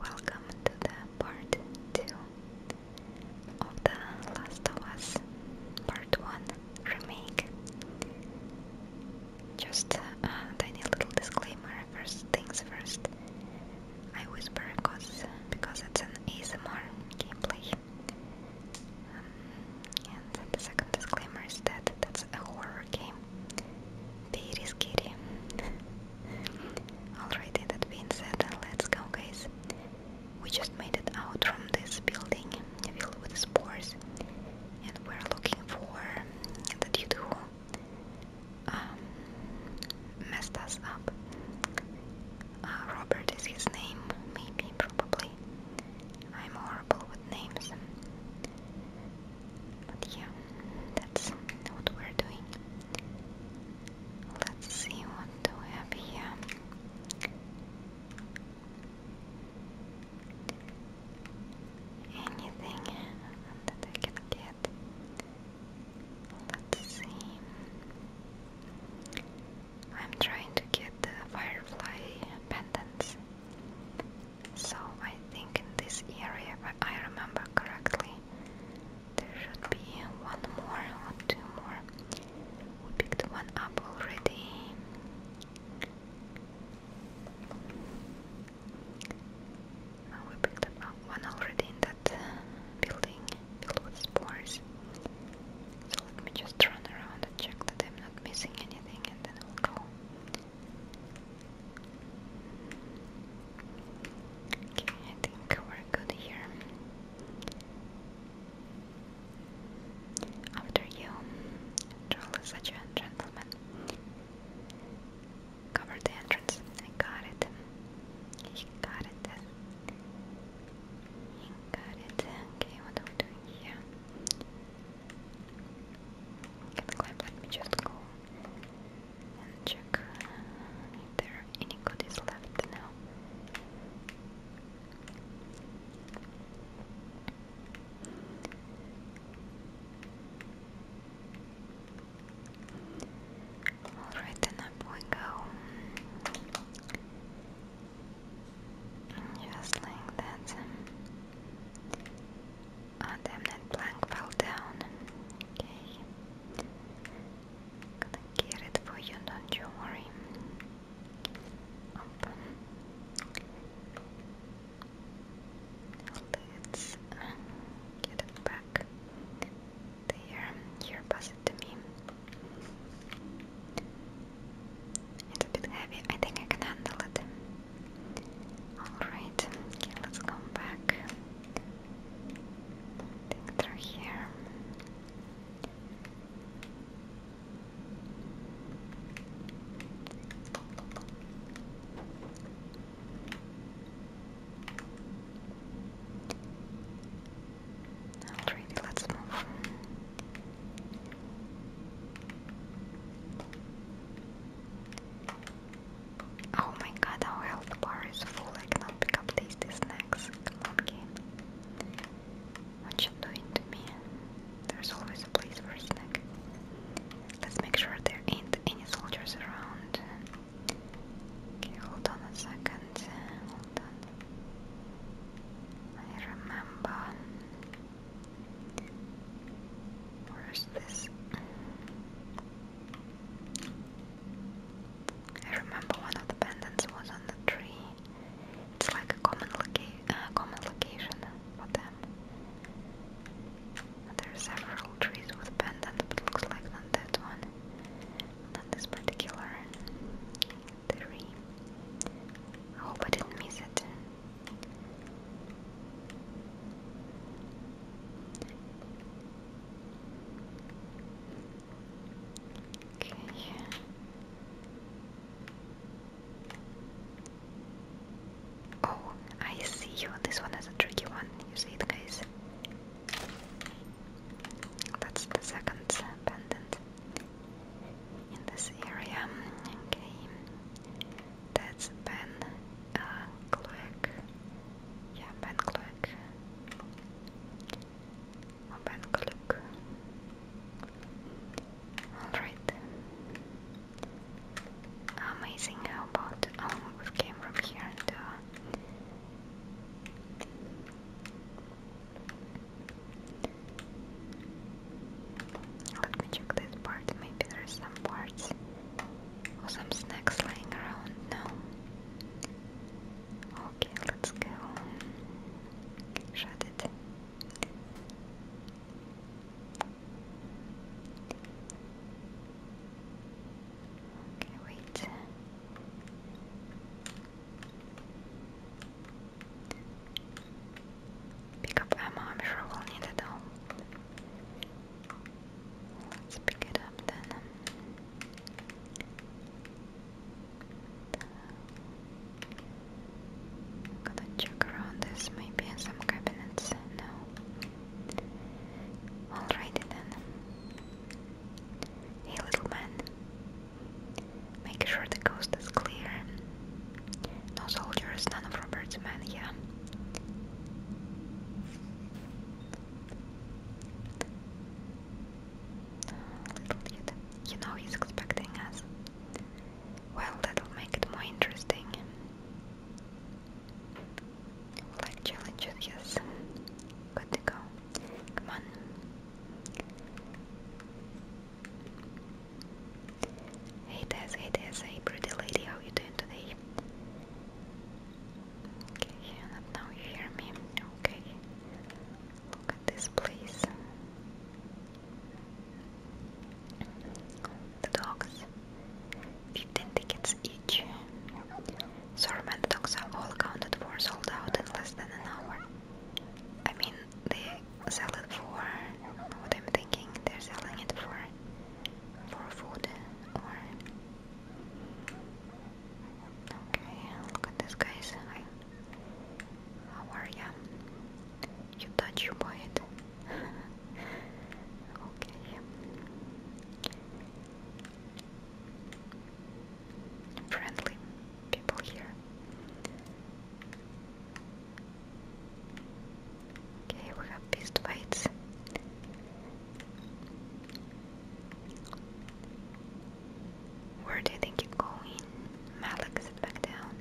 Welcome to the part 2 of The Last of Us Part 1 Remake. Just uh, a tiny little disclaimer, first things first. I whisper because, because it's an ASMR gameplay. Um, and the second disclaimer is that that's a horror game. Very scary. Alrighty, that being said, let's go guys. We just made it out from this building filled with spores and we're looking for the dude who um, messed us up. Uh, Robert is his name, maybe, probably. I'm horrible with names. But yeah, that's what we're doing. Let's see what do we have here. Anything that I can get. Let's see. I'm trying to get the firefly pendants. So I think in this area, if I remember correctly, there should be one more or two more. We picked one up already. we picked up one already in that uh, building filled with spores. So let me just run around and check that I'm not missing anything and then we'll go. Okay, I think we're good here. After you, Joel is such a Cover the entrance. I got it. He got it. He got it. Okay, what are we doing here? Can climb, let me just go and check if there are any goodies left now. Alright, then up we go. Just like that. Ah, um, damn, that plank fell down. Okay. Gonna get it for you, don't you worry. Open. Let's uh, get it back there. Here, pass it to me. It's a bit heavy. I think I can handle it. Alright, okay, let's come back think they're here. Alrighty, let's move. Oh my god, our health bar is full. I cannot pick up tasty snacks. Come on, game. What you doing to me? There's always a place for a snack. Let's make sure there ain't any soldiers around. Okay, hold on a second. Hold on. I remember. Where's this? I remember one of the pendants was on the tree. It's like a common, uh, location for them. There are several trees with pendant, but looks like not that one. Not this particular tree. I I didn't miss it. Okay. Oh, I see you. This one is a tricky one. You see it, guys? That's the second pendant in this area. Okay. That's Ben uh, Ja ben geluk. Oh, ben geluk. Alright. Amazing, how about... Oh, we came from here and... Uh, let me check this part, maybe there's some parts or some snacks laying around? No. Okay, let's go. Shut it. Okay, wait. Pick up ammo, I'm sure we'll need it Let's pick it up then. i to check around this, maybe in some cabinets. No. Alrighty then. Hey, little man. Make sure the coast is clear. No soldiers, none of Robert's men, yeah little kid. You know he's expecting us. Well, that'll make it more interesting. Like challenges, yes. Good to go. Come on. Hey Tess, hey Tess, hey pretty lady, how you doing today? Okay, Hannah, now you hear me. Okay. Look at this place. The dogs. 15 tickets each. Sormat dogs are all accounted for, sold out in less than an hour. I mean, they sell it for what I'm thinking, they're selling it for for food or Okay, look at this, guys. Hi. How are ya? You touch your butt. okay. Friendly people here. Okay, we have beast fights. Where do you think you're going? Malik sit back down.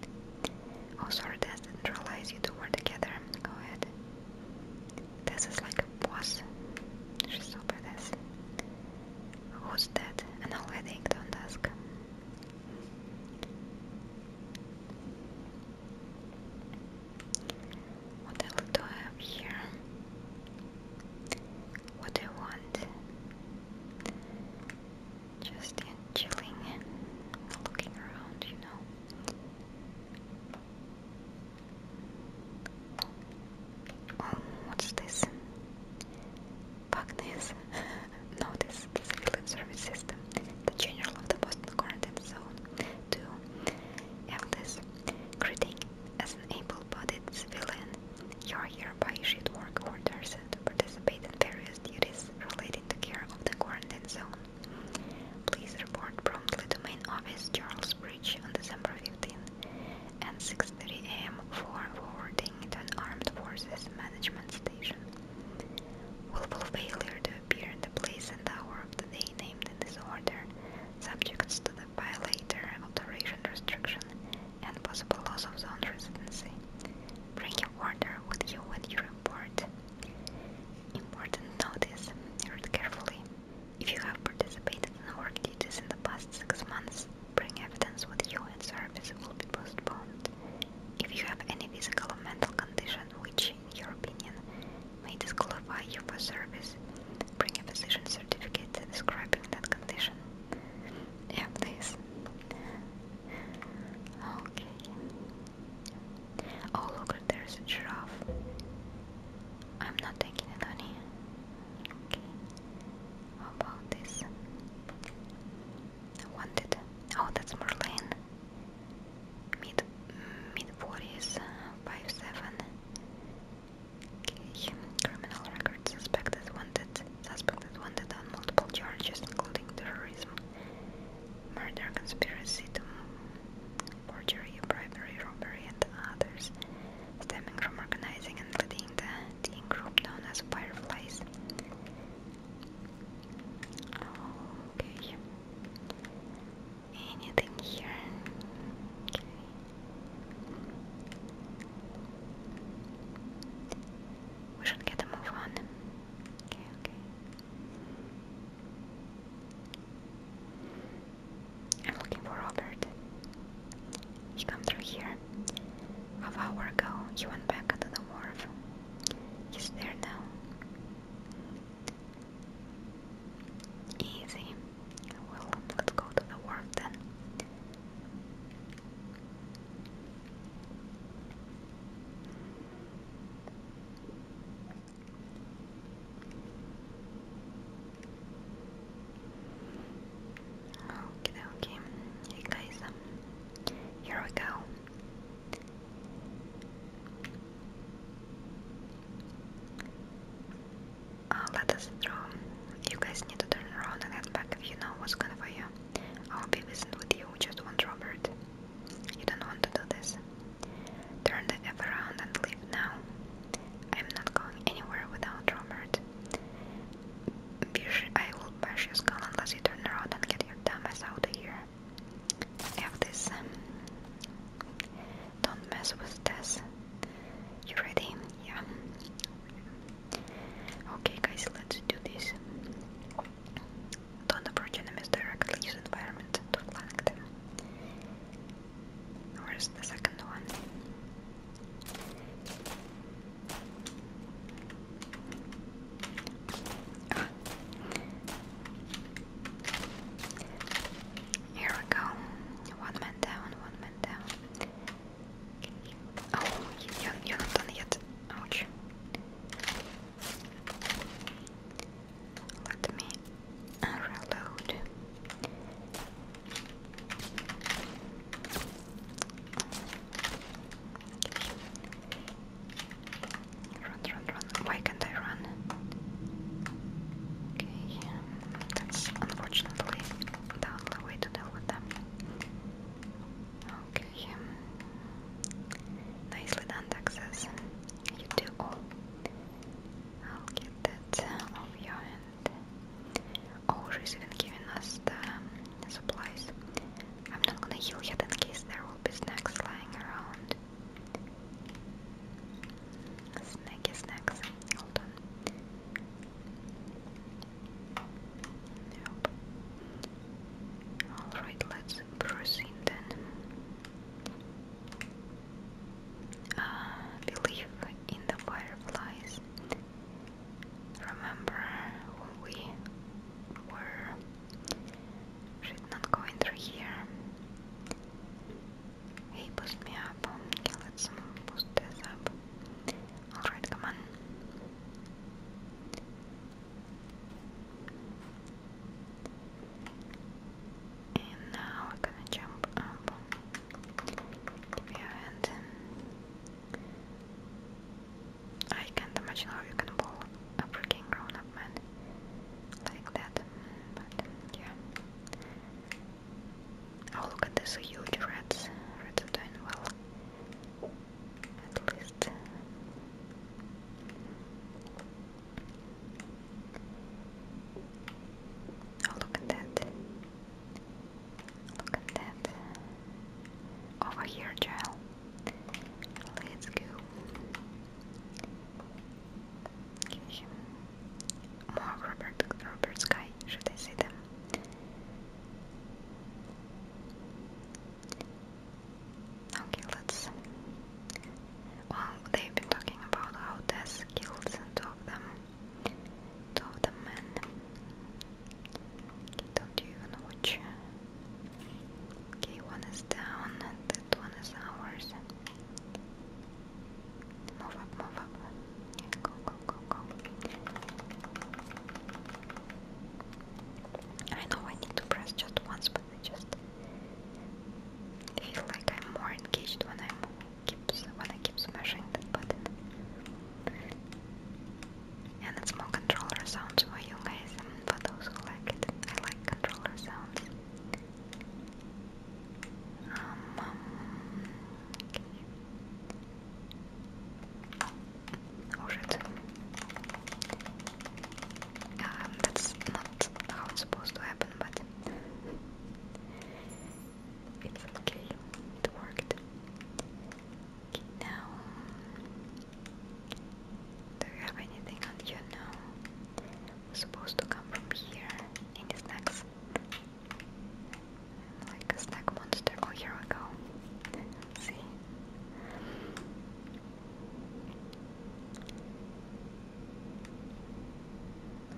Oh, sorry, Des didn't realize you two were together. Go ahead. This is like a boss. She's so this. Who's that? An already don't ask. What the do I have here? what I want. Just in chilling looking around, you know. Oh, what's this? Pugnes. Notice this field service system, the general of the Boston Quarantine Zone. 2. Endless. Greeting as an able-bodied civilian, you are hereby issued work orders to participate in various duties relating to care of the quarantine zone. Please report promptly to Main Office Charles Bridge on December 15 and 6.30 am for forwarding to an Armed Forces Management Station. Willful failure to appear in the place and hour of the day named in this order subjects to the bilater alteration restriction and possible loss of zone residency. Bring your water with you when you report. Important notice, read carefully. If you have participated in work duties in the past six months, bring evidence with you and service will be postponed. If you have any physical or mental condition which, in your opinion, may disqualify you for service, Bring a physician certificate describing that condition. Yeah, please. Okay. Oh, look, there's a giraffe. I'm not taking it on here. Okay. How about this? wanted. Oh, that's Merlin. Mid mid forties, five seven. Okay. Criminal record suspected wanted. Suspected wanted on multiple charges, including terrorism, murder, conspiracy to perjury, bribery, robbery, and others, stemming from organizing and leading the teen group known as Fireflies. Anything here? We should get a move on. Okay, I'm looking for Robert. He come through here. Half hour ago, he went back to the wharf. He's there now. Easy. Well, let's go to the wharf then. Okay, okay. Hey guys, um, here we go let us through. You guys need to turn around and head back if you know what's going for you. I'll be visiting with you, just want Robert. You don't want to do this. Turn the F around and leave now. I'm not going anywhere without Robert. Bish, I will bash your skull unless you turn around and get your dumb ass out of here. F this. Don't mess with death. You ready? Yeah. Okay, guys, let's do this. Don't approach enemies directly, use environment to flank them. Where's the second one? Ah. Here we go. One man down, one man down. Oh, я, я Натана, я... Ouch. Let me uh, reload. Run, run, run. Why can't I run? Okay, that's unfortunately the only way to deal with them. Okay. Nicely done, Texas. You do all. I'll get that off your hand. Oh, she's even giving us um, the, supplies. I'm not gonna heal yet in case there will be snacks lying around. Snacky snacks. Hold Alright, let's proceed then. Uh, believe in the fireflies. Remember when we were. Should not go in here. Hey, boost me up. Okay, let's boost this up. Alright, come on. And now we're gonna jump up. Give your hand. I can't imagine how you can pull a freaking grown up man like that. But yeah. Oh, look at this huge rats. Rats are doing well. At least. Oh, look at that. Look at that. Over here, child. Let's go. Give more Robert, Robert Sky, should I say them? Okay, let's. Well, they've been talking about how Tess killed two them. Two the men. don't even know which. Okay, one is down and that one is ours. I know I need to press just once, but I just feel like I'm more engaged when I keep when I keep smashing that button. And it's more controller sounds for you guys for those who like it. I like controller sounds. Um, um, Bullshit. Oh, um, that's not how it's supposed to happen, but it's okay, it worked. now, do you have anything on you now? supposed to come from here in this like a snack monster. Oh, here we go. See?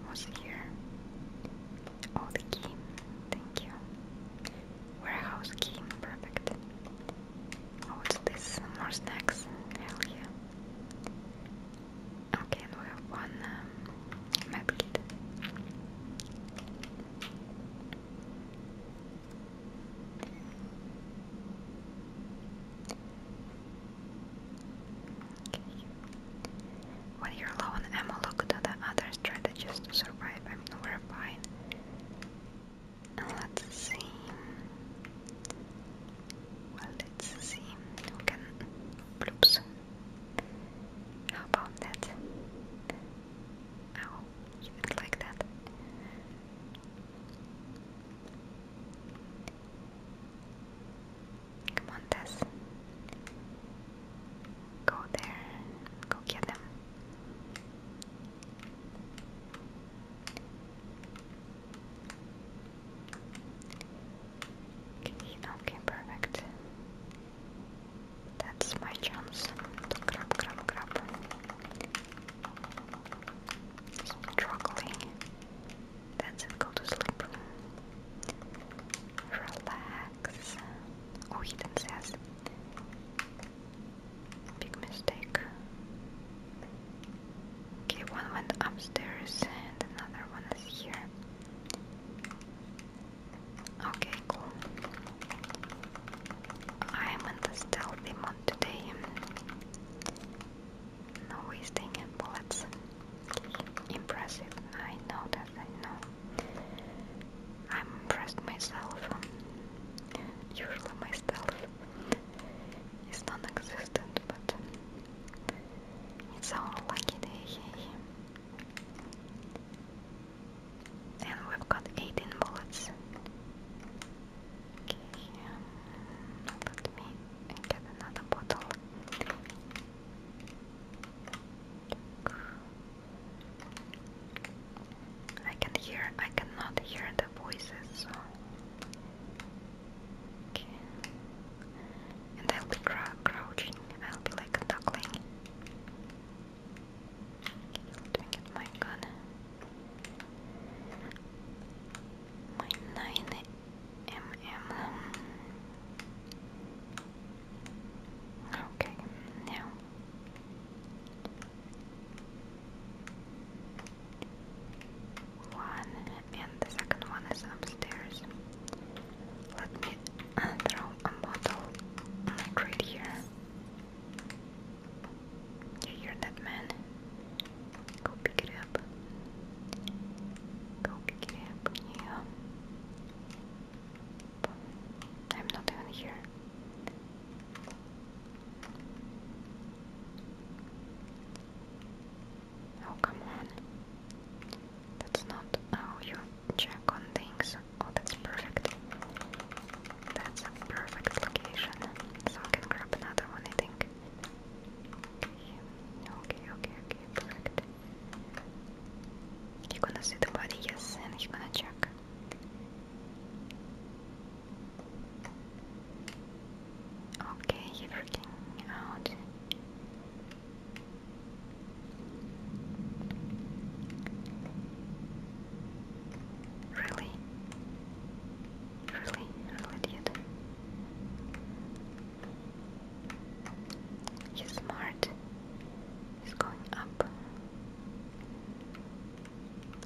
What's here? Oh, the key. Thank you. Warehouse key. Perfect. Oh, what's this? More snacks. Hell yeah. Okay, we have one um, my bed. When you're low on look to the other strategists to survive. I am we're fine. Let's see. let's see. We can. How about that? Ow, oh, you like that. Come on, Tess. Go there. Go get them. okay, perfect. That's my chance to grab, grab, grab. Struggling. That's to sleep. Relax. Oh, he didn't says. Big mistake. one went upstairs and another one is here. Okay, cool. I'm in the stealthy mode today. No wasting bullets. Impressive, I know that, I know. I'm impressed myself. Usually my stealth is non-existent, but it's our lucky day. And we've got 18 bullets. Okay, um, let me get another bottle. I can hear, I cannot hear the voices, Okay. And I'll be crouching, I'll be like duckling. Let me get my gun. My 9mm. Okay, now. One and the second one is upstairs. Let me throw a bottle on the grid here. You hear that man? Go pick it up. Go pick it up, yeah. I'm not even here. Oh, come on. That's not how you check on things. Oh, that's perfect. That's a perfect location. So I can grab another one, I think. Okay, okay, okay, perfect. you gonna see the body, yes, and you gonna check. Okay, you freaking out. Really? Really? Really did? He's smart. He's going up.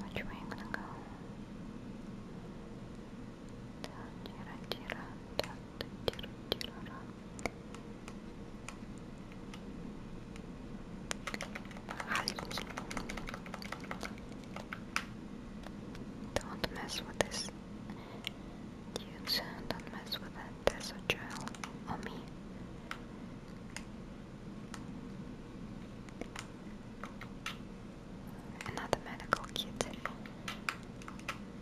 Which way i gonna go? Tira, tira, tira, tira, tira, tira. Don't mess with this. Dudes, don't mess with There's a child on me. Another medical kit.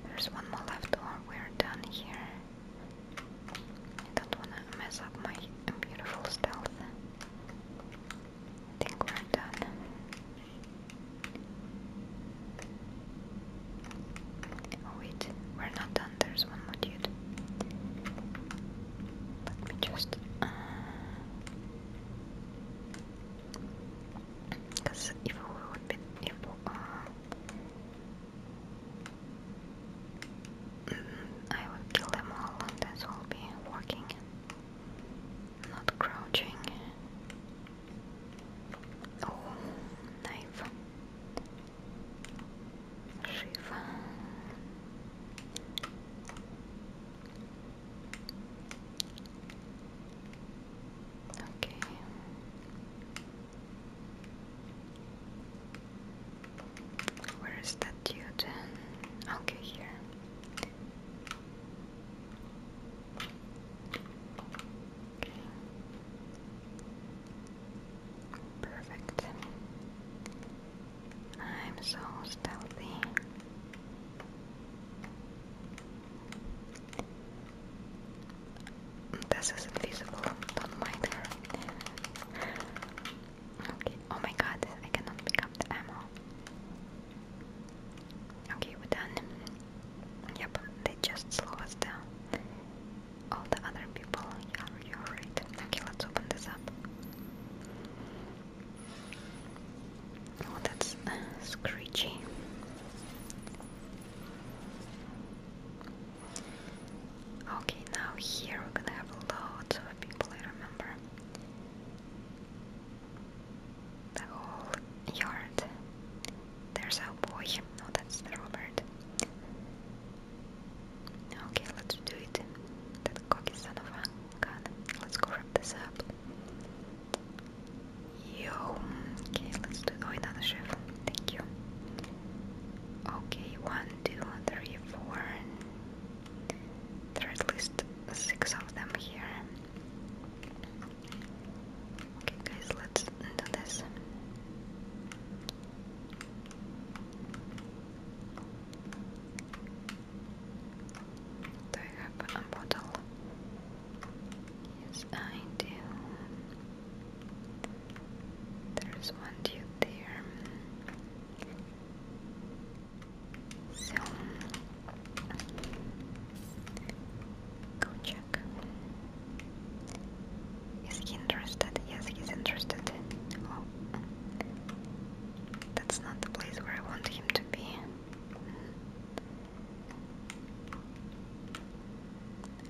There's one more left, or we're done here. I don't wanna mess up my beautiful stealth. think we're done. Oh wait, we're not done, there's one more dude. Let me just... Because uh, if we would be... If, uh, I will kill them all and this will be walking, not crouching. Oh, knife. Okay. Where is that dude? Okay, here. Perfect. I'm so stealthy. This isn't visible. Don't mind her. Okay. Oh my god, I cannot pick up the ammo. Okay, we're done. Yep, they just slow down. All the other people, you're right. Okay, let's open this up. Oh, that's uh, screechy. Okay, now here we're gonna have lots of people, I remember. The whole yard. There's our boy. No, that's the Robert. Okay, let's do it. That cocky son of a gun. Let's go wrap this up. Yo. Okay, let's do. Oh, another chef. Thank you. Okay, one two, three, four. There are at least six of them here. Okay, guys, let's do this. Do I have a bottle? Yes, I do. There's one dude there. So go Is he interested? Yes, he's interested. Oh, that's not the place where I want him to be.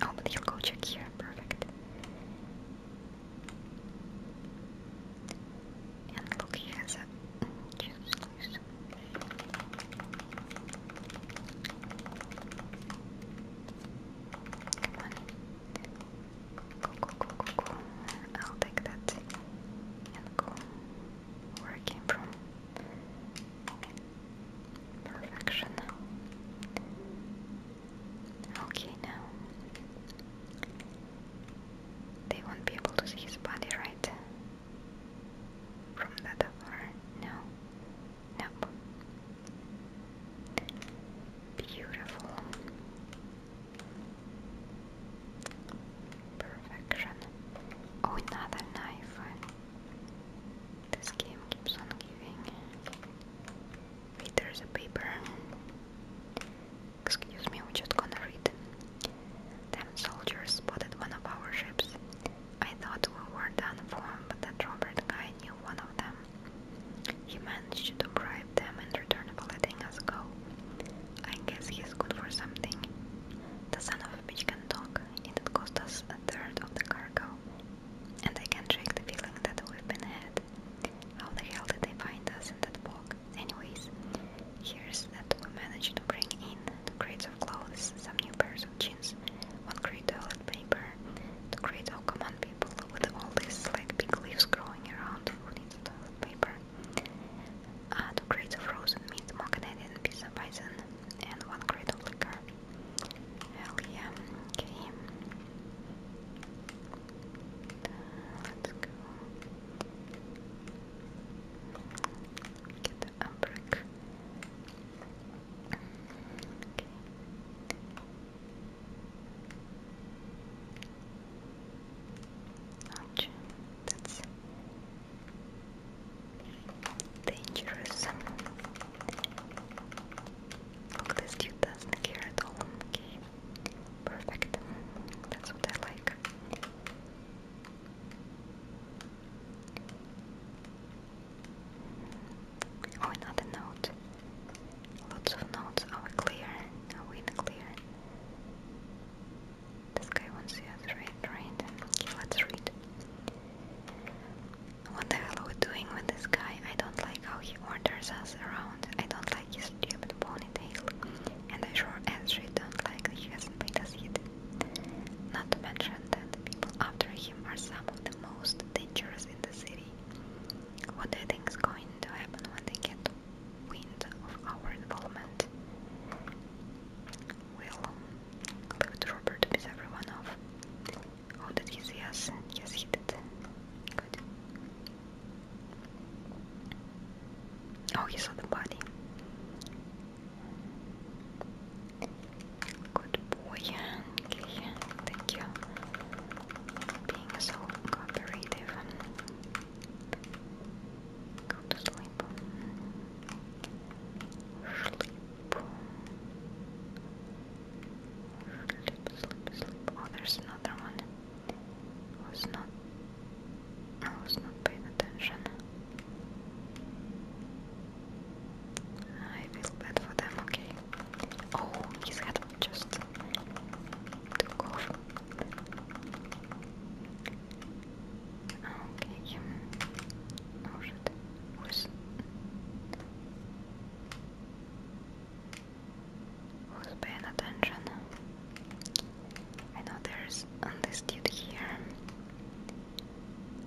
Oh, but he go check here. Perfect. And look, he has a juice. Come on. Go, go, go, go, go. I'll take that and go where from. Perfection. Okay, now they won't be able to see his body, right? From that far? No. Nope. Beautiful. Perfection. Oh, another knife. This game keeps on giving. Wait, there's a paper. Excuse me, I'm just gonna read. Them soldiers spotted one of our ships. I thought we were done for, but that Robert guy knew one of them. He managed to bribe them in return for letting us go. I guess he's good for something. The son of a bitch can talk. It cost us a third of the cargo, and I can't the feeling that we've been had. How the hell did they find us in that bog? Anyways, here's that we managed to bring in two crates of clothes, some new pairs of jeans, one crate of toilet paper, two crates of come people, with all these like big leaves growing around, who needs toilet paper? Uh, two crates of frozen meat, more Canadian pizza bison, and one crate of liquor. Hell yeah, okay. Let's go. Get the umbric. That's dangerous. this dude doesn't care at all. Perfect. That's what I like. Oh, another note. Lots of notes are oh, clear. Are we clear? This guy wants to read, right? Okay, let's read. What the hell are we doing with this guy? I don't like how he orders us around. I don't like his stupid ponytail, and I sure as shit don't like that he hasn't made us yet. Not to mention that the people after him are some of the most dangerous in the city. What do you think is going to happen when they get wind of our involvement? Well, leave Robert to everyone off. Oh, did he see us? Yes, he Good. Oh, you saw the body. Good boy. Okay, thank you. Being so cooperative. Go Sleep, sleep, sleep. Oh, there's another one was not I was not paying attention. I feel bad for them, okay. Oh, his head just took off. Okay. Oh shit. Who's Who's paying attention? I know there's um, dude here.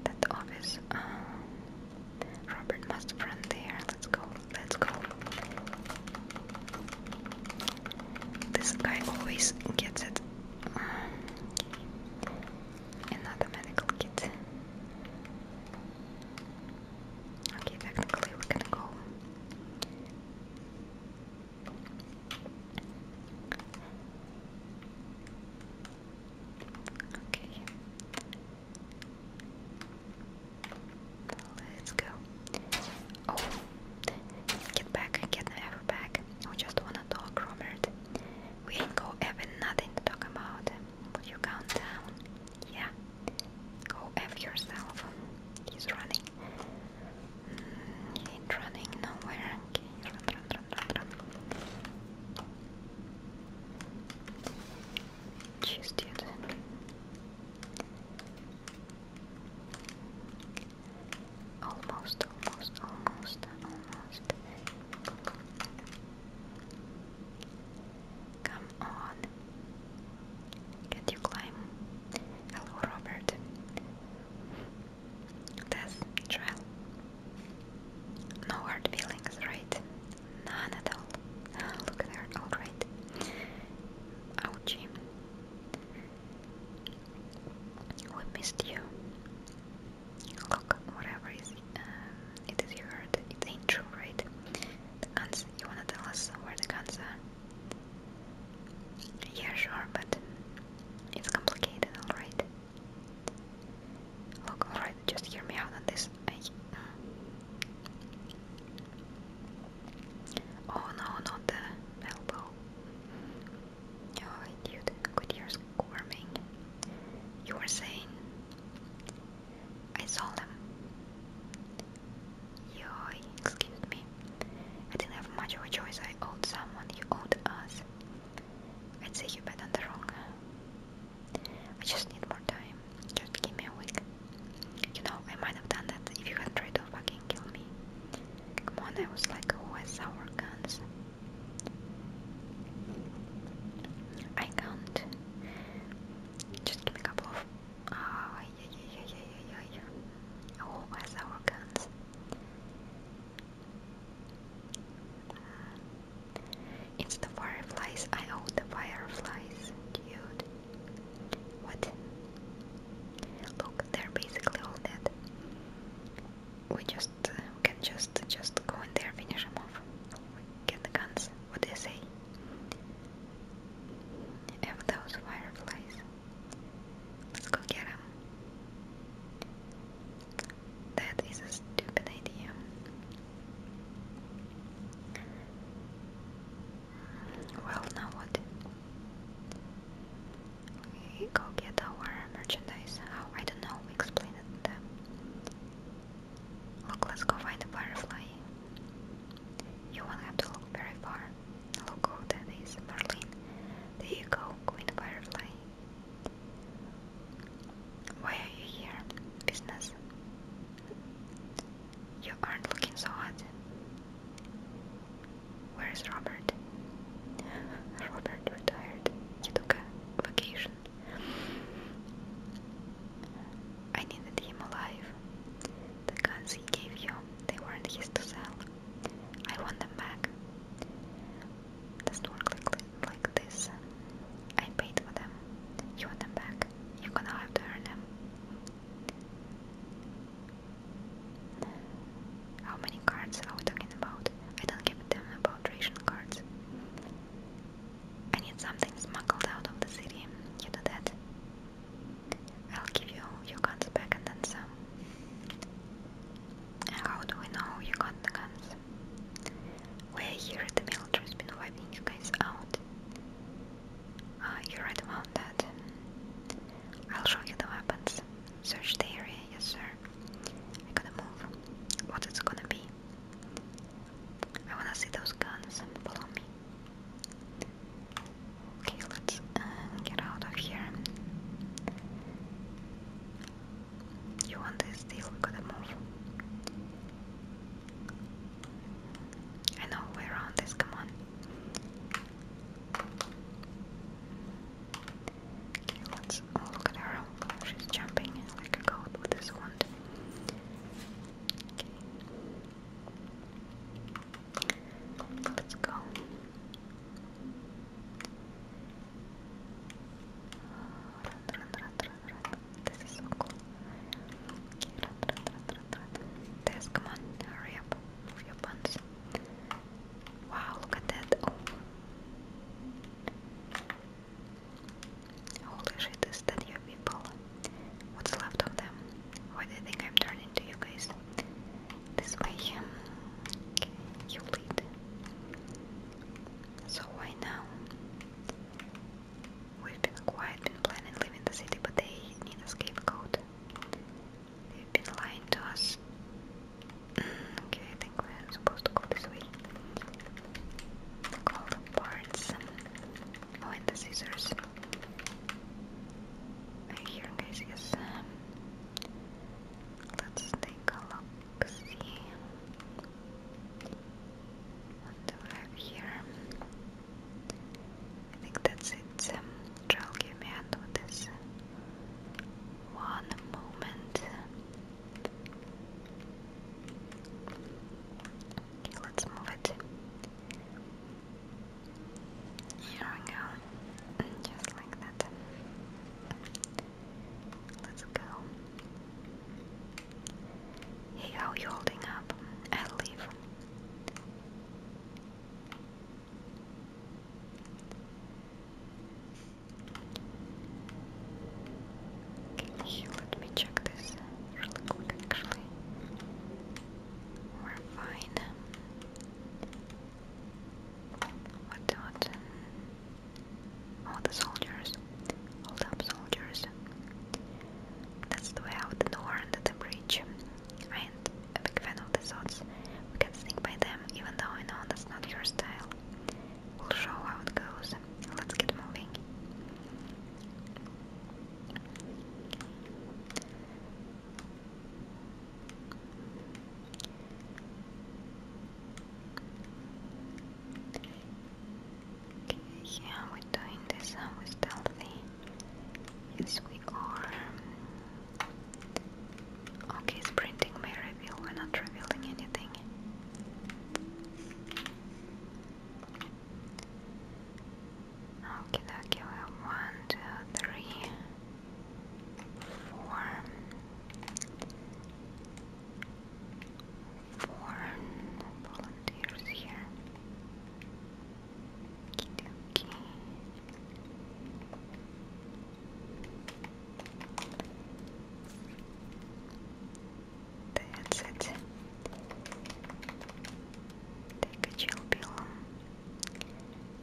That office. Uh, Robert must run there. Let's go. Let's go. This guy always gets it. another um, medical kit. Okay, technically we're gonna go. Okay. Let's go. Oh, get back, get ever back. We just wanna talk, Robert. We ain't got even nothing to talk about. Will you count down? Yeah, go F yourself. He's running. He's running nowhere. Okay, run, run, run, run, run. Almost, almost, almost, almost. Come on. Can you climb? Hello, Robert. Death trial. No hard feelings, right? None at all. Ah, look there, alright. Ouchie. We missed you. Look, whatever is it? Um, it is you heard, it ain't true, right? The guns, you wanna tell us where the guns are? Yeah, sure, but it's complicated, alright? Look, alright, just hear me out on this. Oh no, not the elbow. Oh, dude, quit your squirming. You were saying I saw them. Yo, excuse me. I didn't have much of a choice. I owed someone. You owed us. I'd say you bet on the wrong. I just need more time. Just give me a week. You know, I might have done that if you had tried to fucking kill me. Come on, I was like, who has our guns? I can't. Just give me a couple of uh, yeah, yeah, yeah, yeah, yeah. Oh, where's our guns? it's the fireflies. I own the fireflies, dude. What? Look, they're basically all dead. We just uh, can just just go in there, finish them off. Get the guns. What do you say? have those fireflies. Let's go get them. That is a stupid idea. Well, now what? We go get our merchandise. I don't know. We explain it to them. Look, let's go find the firefly. You won't have to look very far. Look who that is, Berlin. There you go, Queen Firefly. Why are you here? Business? You aren't looking so hot. Where is Robert? Robert retired. He took a vacation. I needed him alive. The guns he gave you, they weren't his to sell. I want them back. Doesn't work like, like this. I paid for them. You want them back. You're gonna have to earn them. How many cards are we talking about? I don't give a damn about ration cards. I need something smuggled out of the city. You do that. I'll give you your guns back and then some. how do we know you got the guns? we here the military's been wiping you guys out. Uh, you're right I'll show you the weapons. Search the area, yes sir. I gotta move. What it's gonna be? I wanna see those guns. Follow me. Okay, let's uh, get out of here. You want this deal? We gotta move. I know we're on this, come on. Okay, let's oh, look at her. She's jumping like a goat with this wand. Okay. Let's go. Run, run, run, run, This is so cool. Okay, run, run, run, run, run. This, come on, hurry up. Move your buns. Wow, look at that. Oh. Holy shit, is that your people? What's left of them? Why do you think I'm turning to you guys? This way, um, you lead. So why now? We've been quiet, been planning leaving the city, but they need a scapegoat. They've been lying to us. okay, I think we're supposed to go this way. Call the bards. Oh, and the scissors. here, guys, um, let's take a look. See what do I have here? I think that's it. Um, give me hand this. One moment. Okay, let's move it. Here we go. just like that. Let's go. Hey, how you holding up? I'll leave. Okay, let me check this really quick actually. We're fine. What what? All the soldiers. Hold up soldiers. That's the way out the door under the bridge. I ain't a big fan of the swords. We can sneak by them, even though I know that's not your style. We'll show how it goes. Let's get moving yeah, we're doing this and uh, we're stealthy. Yes, we are. Okay, it's printing my reveal, we're not revealing anything. Okay, okay, one, two, three, four, four volunteers here. okay. That's it take a chill pill.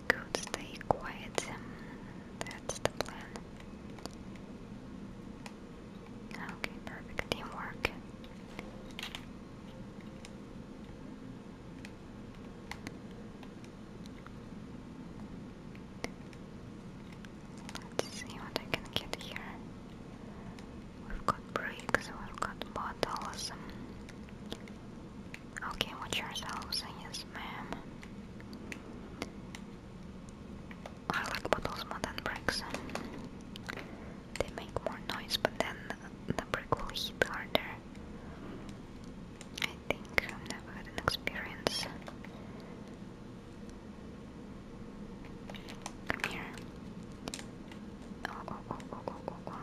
Good, stay quiet. That's the plan. Okay, perfect teamwork. Let's see what I can get here. We've got bricks, we've got bottles. Okay, watch yourselves, yes ma'am. I like bottles more than bricks. They make more noise, but then the brick will hit harder. I think I've never had an experience. Come here. Oh, oh, oh, oh, oh, oh,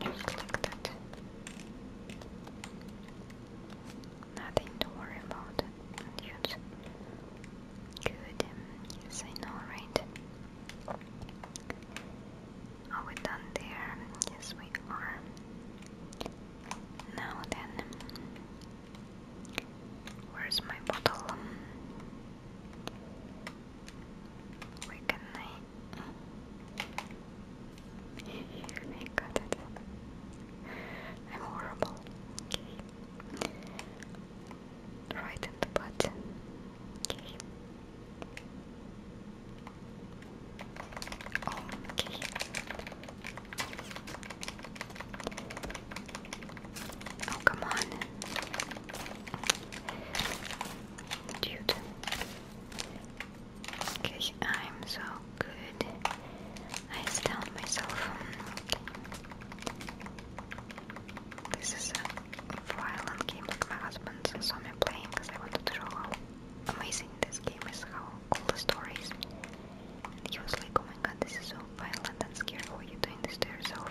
Just like that. Nothing to worry about. Dude. Good. Yes, I know, right? Are we done there? Yes, we are. Now then, where's my bottle? Where can I I got it. I'm horrible. Right the button. Oh, okay. Oh, come on. Dude. Because I'm so good. I astound myself. This is a violent game like my husband saw me playing because I wanted to show how amazing this game is, how cool the stories! And he was like, oh my god, this is so violent and scary, Why are you doing this to yourself?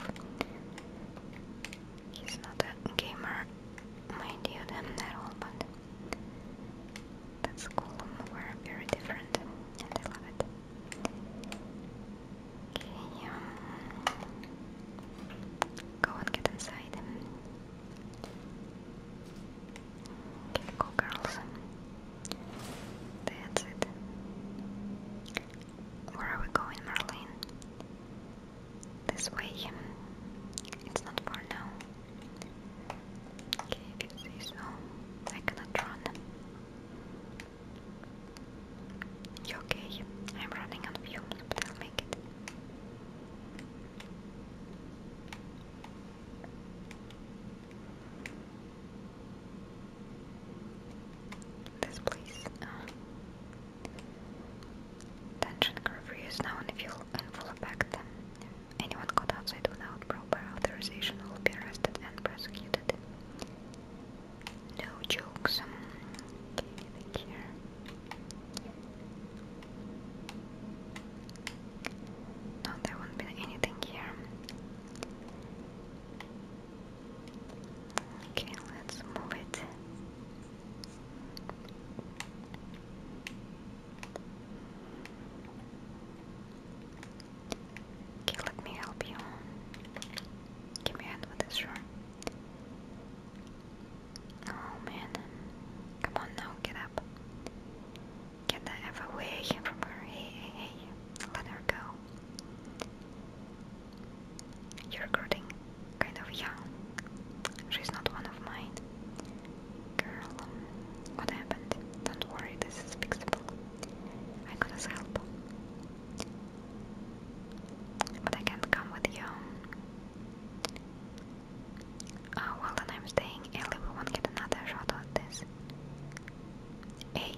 he's not a gamer, mind you, them at all, but that's cool, we're very different, and I love it. Okay, um, go and get inside. Okay, go girls. That's it. Where are we going, Marlene? this way. It's not far now. Okay, if you say so. I cannot run. okay? I'm running on fumes, but I'll make it. This place. Uh, Tension curfew is now in full, in effect. Anyone caught outside without proper authorization will be arrested and prosecuted. No jokes. Um, here? No, there won't be anything here. Okay, let's move it. Okay, let me help you. Give me hand with this room. Oh man. Come on now, get up. Get the F away from her. Hey, hey, hey. Let her go. You're recording kind of young. She's not one of mine. Girl, what happened? Don't worry, this is fixable. I could help. But I can't come with you. Oh, well then I'm staying. Ellie, get another shot at this. Hey,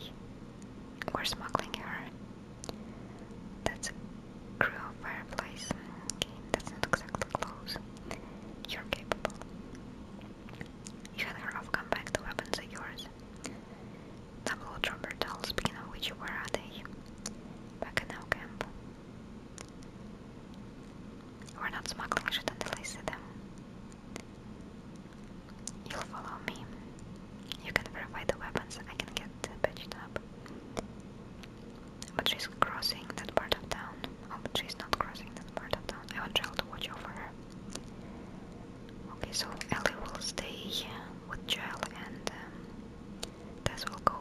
we're smuggling her. That's Crew a fireplace. that's not exactly close. You're capable. You and Harov come back, the weapons are yours. Double dropper dolls, speaking which, where are they? Back in our camp. We're not smuggling shit until I see them. You'll follow me. You can verify the weapons, I can get patched up. But she's crossing that part of town. Oh, she's not crossing that part of town. I want Jill to watch over her. Okay, so Ellie will stay with Jill and um, Tess will go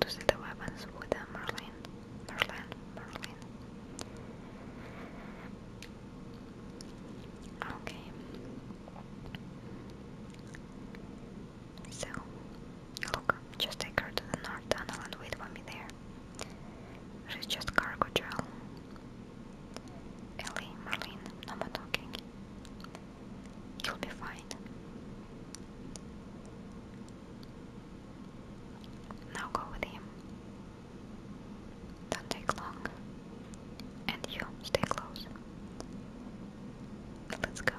to see the weapons with uh, Merlin. Merlin, Merlin. Okay. So, look, just take her to the north tunnel and wait for me there. She's just cargo gel. Ellie, Marlene, no more talking. You'll be fine. Now go with him. Don't take long. And you, stay close. Let's go.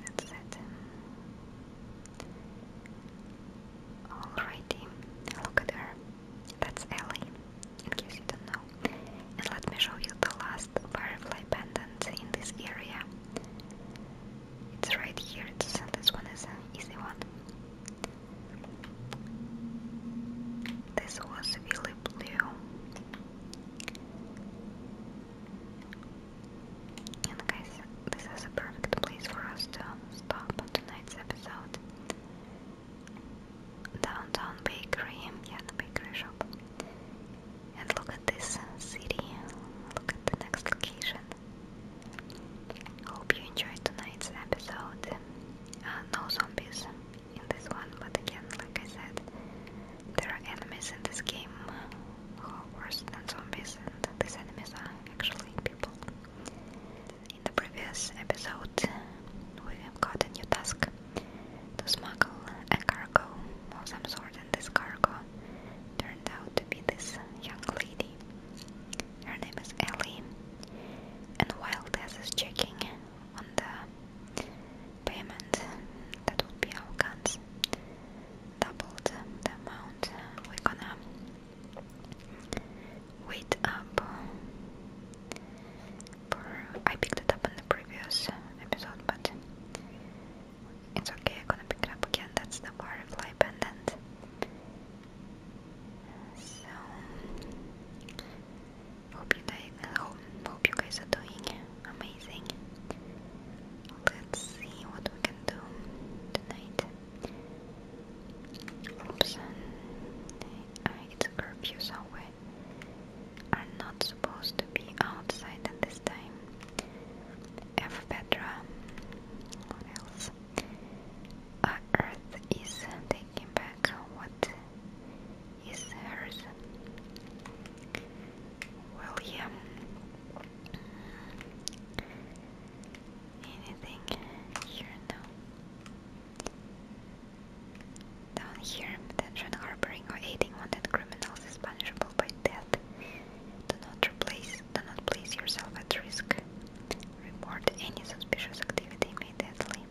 That's it. Alrighty, look at her. That's Ellie, in case you don't know. And let me show you the last butterfly pendant in this area. It's right here. It's, this one is an easy one. This was really blue. And guys, this is a perfect place for us to stop tonight's episode. Downtown bakery, yeah, the bakery shop. And look at this city. Look at the next location. Hope you enjoyed tonight's episode. Uh, no zombies in this one, but again, like I said, there are enemies in this game who are worse than zombies, and these enemies are actually people. In the previous episode, we got a new task to smuggle a cargo of some sort, and this cargo turned out to be this young lady her name is Ellie, and while Tess is checking on the payment that would be our guns, doubled the amount, we're gonna wait up. For, I picked it up in the previous episode, but it's okay, I'm gonna pick it up again. That's the butterfly pendant. So hope you guys hope, hope you guys are doing amazing. Let's see what we can do tonight. Oops, uh, it's a curfew, so we are not supposed to be outside at this time. F What else? Our uh, Earth is taking back what is hers. Well, yeah. Anything here now? Down here, detention harboring or aiding wanted criminals is punishable by death. Do not replace, do not place yourself at risk. Report any suspicious activity immediately.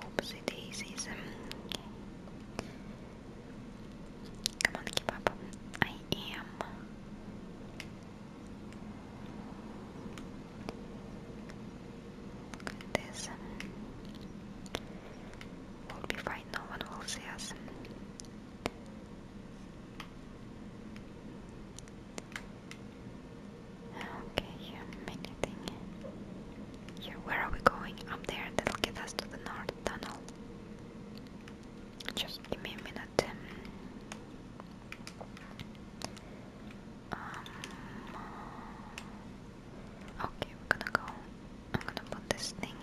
Oopsie daisies. Okay. Um, come on, keep up. I am. Look this. Um, will be fine, no one will see us. Okay, here, anything. Here, where are we going? Up there, that'll get us to the north tunnel. Just give me a minute. Um, okay, we're gonna go. I'm gonna put this thing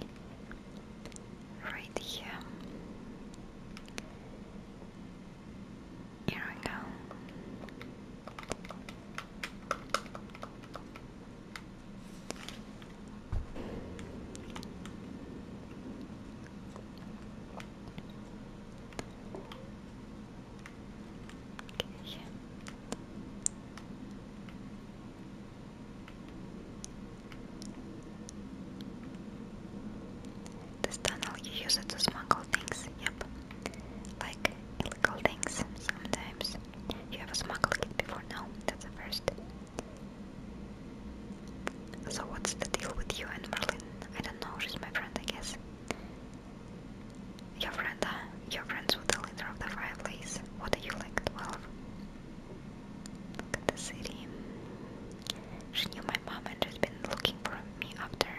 right here. Here we go. Okay. This tunnel you use it to smuggle things, yep. Like illegal things sometimes. You have smuggled it before now, that's the first. So what's the deal with you and Merlin? I don't know, she's my friend I guess. Your friend, huh? Your friends with the leader of the fireplace. What are you like, twelve? Look at the city. She knew my mom and she's been looking for me after.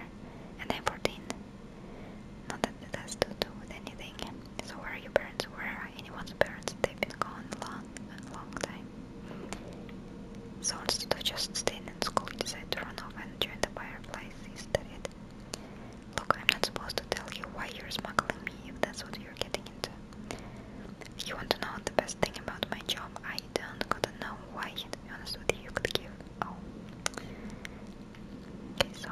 And I'm 14. Not that it has to do with anything. So where are your parents? Where are anyone's parents? They've been gone a long, long time. So instead of just staying in school, he decided to run off and join the fireflies instead. Look, I'm not supposed to tell you why you're smuggling me if that's what you're getting into. You want to know the best thing about my job? I don't gotta know why, to be honest with you, you could give Oh. Okay, so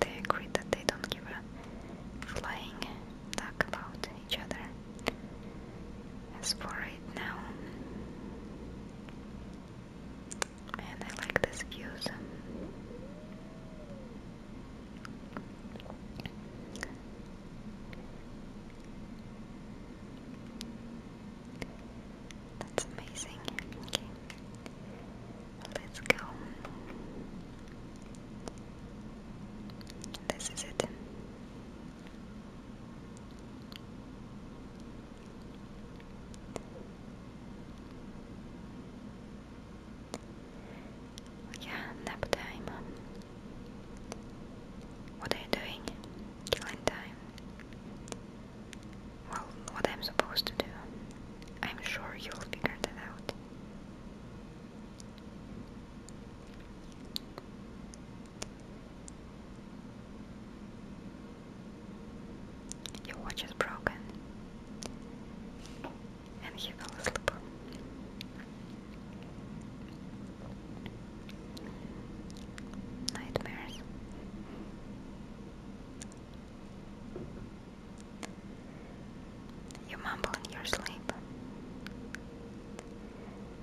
they agreed that they don't give a flying duck about each other. As for right now, and I like these views. That's amazing. Okay. Let's go. This is it. Yeah, nap time. What are you doing? Killing time. Well, what I'm supposed to do. I'm sure you'll figure that out. Your watch is broken. And he fell asleep. Nightmares. You mumble in your sleep.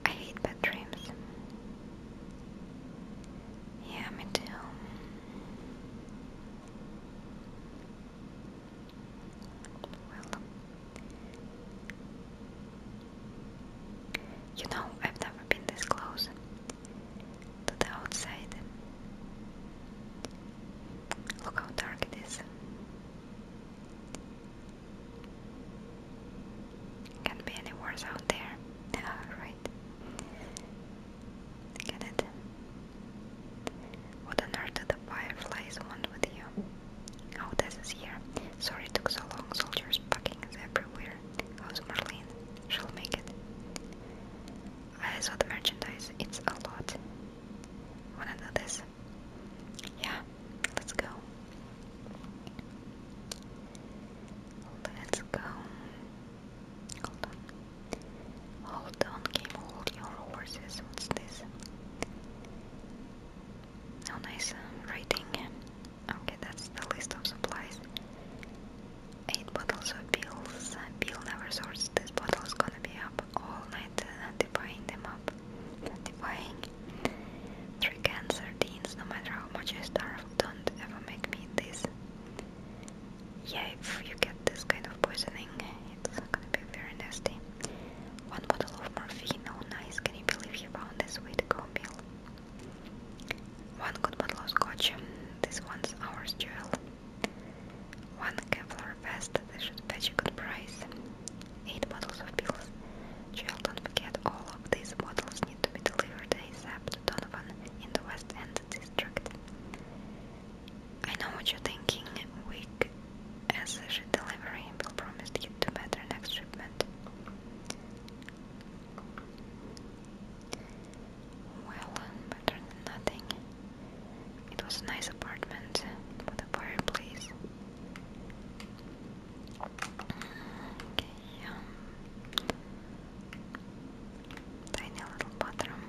I hate bad dreams. Yeah, me too. Well, you know, I've never been this close to the outside. Look how dark it is. Can't be any worse out there. Yeah, right. Get it? What on earth do the fireflies want with you? Oh, this here. Sorry took so long. Soldiers packing is everywhere. How's Marlene? she'll make it. I saw the merchandise, it's a lot. Wanna do this? Yeah, let's go. Let's go. Hold on. Hold on, game, hold your horses. What's this? nice uh, Okay, that's the list of supplies. 8 bottles of pills. Bill never sorts. This bottle is gonna be up all night, uh, them up. Divvying. 3 cans, sardines, no matter how much I starve, don't ever make me this. Yeah, if you get this kind of poisoning, it's gonna be very nasty. One bottle of morphine, oh nice, can you believe he found this way to go, one good bottle of scotch, this one's ours, Jill. One Kevlar vest, they should fetch a good price. Eight bottles of pills. Jill, don't forget, all of these bottles need to be delivered ASAP to Donovan in the West End district. I know what you're thinking, weak as a shit delivery, will promise to get do better next shipment. Well, um, better nothing. It was a nice apartment with a fireplace. Okay, um, tiny little bathroom.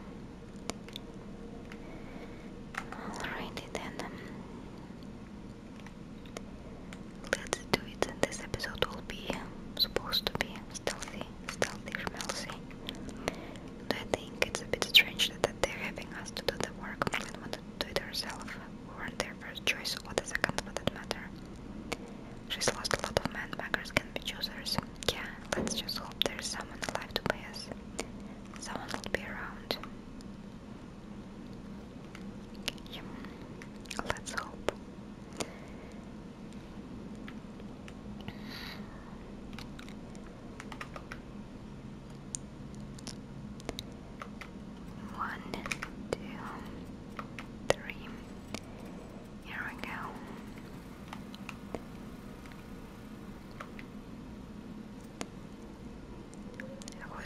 Alrighty then. Um, let's do it. This episode will be supposed to be stealthy, stealthy schmelzy. And I think it's a bit strange that, they're having us to do the work when we wanted to do it ourselves. We weren't their first choice or the second for that matter. She's lost a lot of men, beggars can be choosers. Yeah, let's just hope there's someone alive to pay us. Someone will be around. Yeah. Let's hope. One, two, three. Here we go.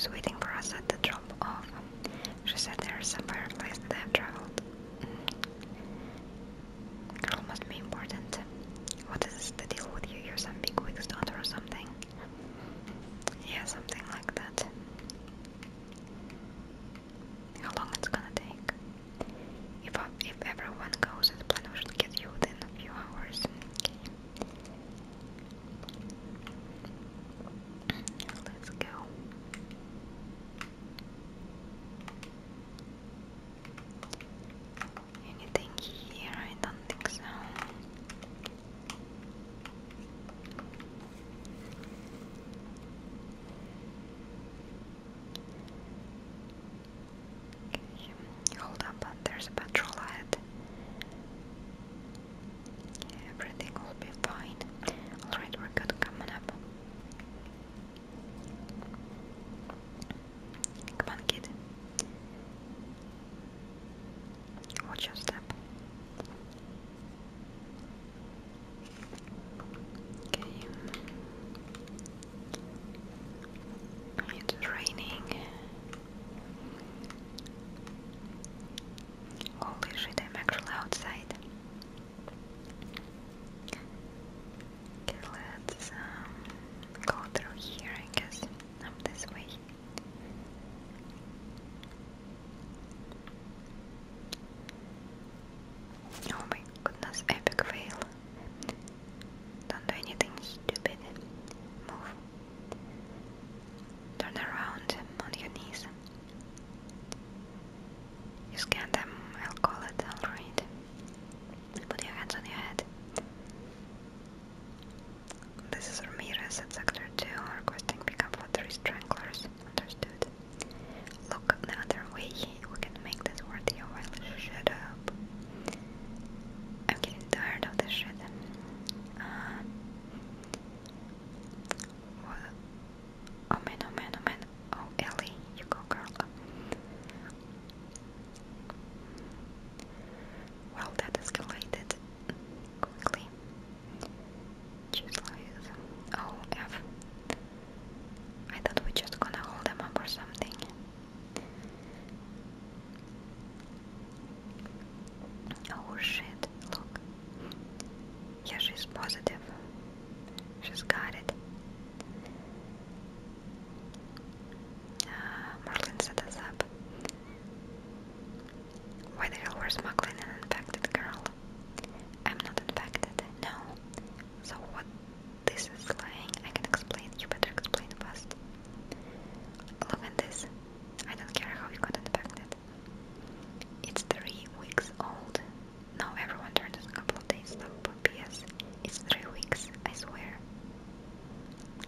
I waiting for us at the drop off. She said there's some fireplace that I've traveled. Mm. Girl must be important. What is the deal with you? You're some big wig or something? Yeah, something like that. How long it's gonna take? If if everyone goes as planned, should get you within a few hours. Let's go. Anything here? I don't think so. hold up, there's a patrol ahead. everything will be fine. Alright, we're good coming up. Come on, kid. Watch your step. Okay. It's raining. Holy shit, I'm actually outside. Okay, let's um, go through here, I guess, this way. Oh my goodness, epic fail. Don't do anything stupid. Move. Turn around on your knees. You scan them, I'll call it, I'll read. Put your hands on your head. This is Ramirez at Sector 2, requesting pickup for three stranglers. Understood. Look the other way, we can make this worth your while. Shut up. I'm getting tired of this shit. Uh, what, Oh man, oh man, oh man. Oh, Ellie, you go, girl. Well, that escalated quickly. Choose life. Oh, F. I thought we just gonna hold them up or something. Oh shit, look. Yeah, she's positive. She's got it. Uh, Marlin set us up. Why the were smuggling an infected girl? I'm not infected, no. So what this is lying, I can explain. You better explain first. Look at this. I don't care how you got infected. It's three weeks old. No, everyone turned in a couple of days though, but PS, it's three weeks, I swear.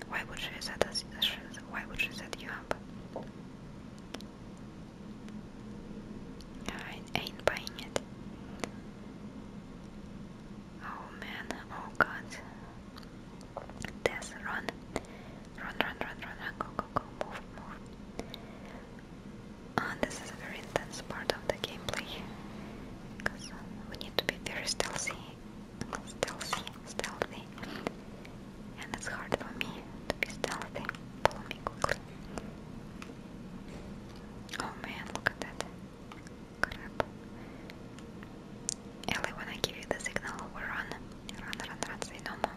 Why would she set us, why would she set you up? I ain't buying it. Oh man, oh god. Death, Run, run, run, run, run, go, go, go, move, move. And ah, this is a very intense part of the gameplay because uh, we need to be very stealthy, stealthy, stealthy, and it's hard for me to be stealthy. Follow me quickly. Oh man, look at that! Crap. Ellie, when I give you the signal, we run, run, run, run. Say no more.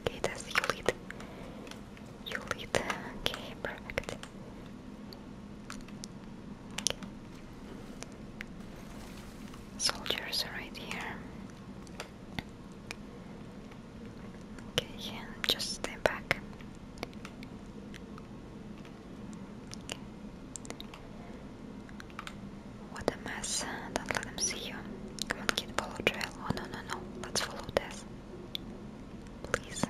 Okay, that's you lead. You lead. Okay, perfect. Soldiers are right here. Okay, yeah, just stay back. What a mess. Don't let them see you. Come on, kid, follow trail. Oh, no, no, no. Let's follow this. Please.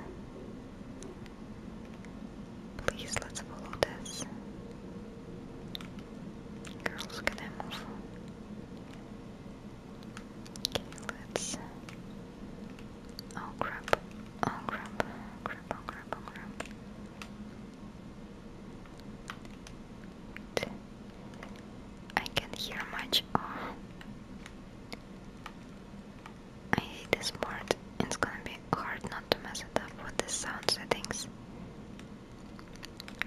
Please, let's follow this. Girls, can I move? Okay, let's... Oh, crap. Oh, crap. Crap, oh, crap, oh, crap. I can't hear much I hate this part. It's gonna be hard not to mess it up with the sound settings.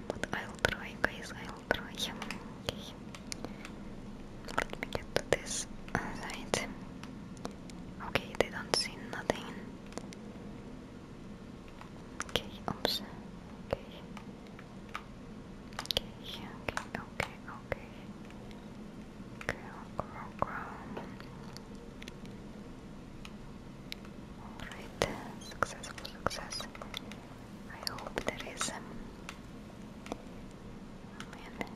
But I'll try, guys, I'll try. Let me get to this side. Okay, they don't see nothing. Okay, oops. Okay. Okay, okay, okay, okay. Grow, grow, grow. Alright, successful, success. I hope there is. Um, man.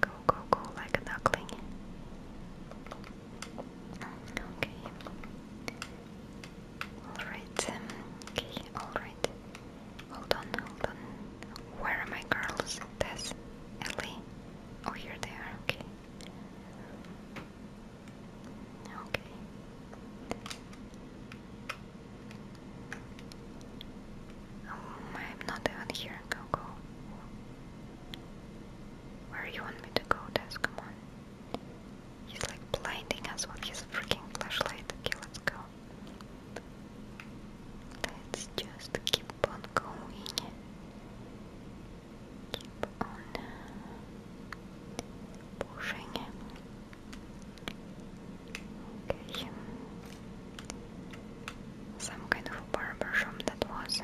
Go, go, go like a duckling. Okay. Alright, um, okay, alright. Hold on, hold on. Where are my girls? Tess, Ellie. Oh, here they are, okay. Okay. Um, I'm not even here. Go, go. Where you want me to go, Tess? Come on. He's like blinding us with his freaking flashlight. Okay, let's go. Let's just keep on going. Keep on pushing. Okay. Some kind of barber shop that was.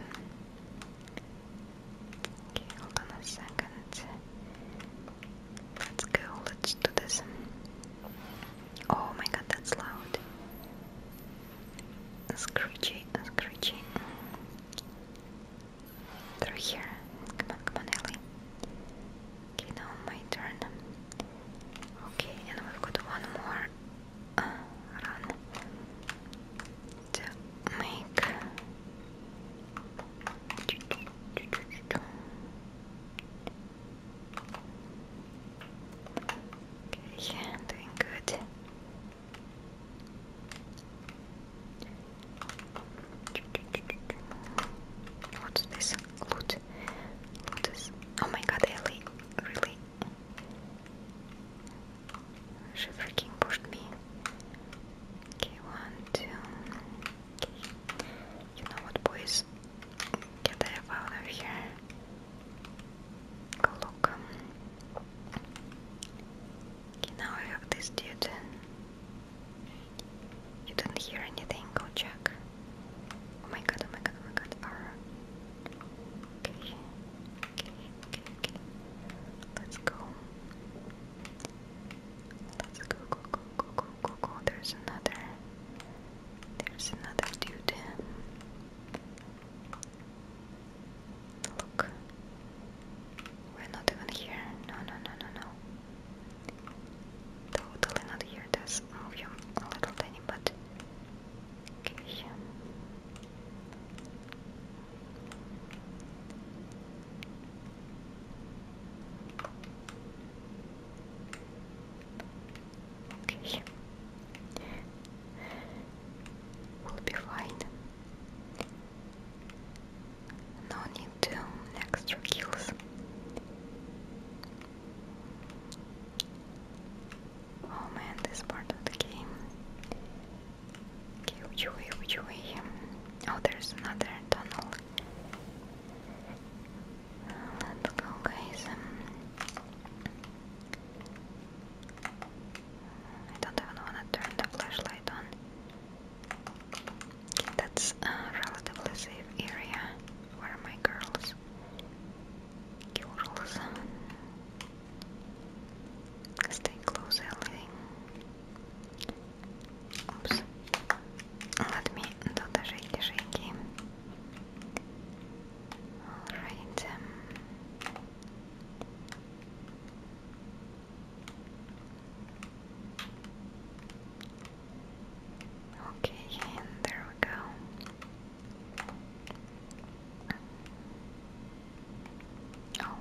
Okay, hold on a second. Let's go, let's do this. Oh my god, that's loud. Screechy, screechy. Through here. Come on, come on, Ellie. Okay, now my turn. Okay, and we've got one more uh, run make Okay, I'm doing good. What's this? Loot. Oh my god, Ellie. Really? She freaking pushed me. Okay, one, two. You know what, boys? Get the F out of here. Go look. Okay, now I have this dude. You didn't hear anything, go check. Oh my god, oh my god, oh my god. Let's go. Let's go, go, go, go, go, There's another. There's another dude. Look. We're not even here. No, no, no, no, no. Totally not here. That's volume a little tiny, but. Okay. We'll be fine. No need to extra kills. Oh man, this part of the game Oh, there's another tunnel. Let's go, guys. Um, I don't even want to turn the flashlight on. that's a relatively safe area. Where are my girls? Girls. Stay close, Ellie. Oops. Let me do the shaky shaky. Um. Okay, there we go. Oh.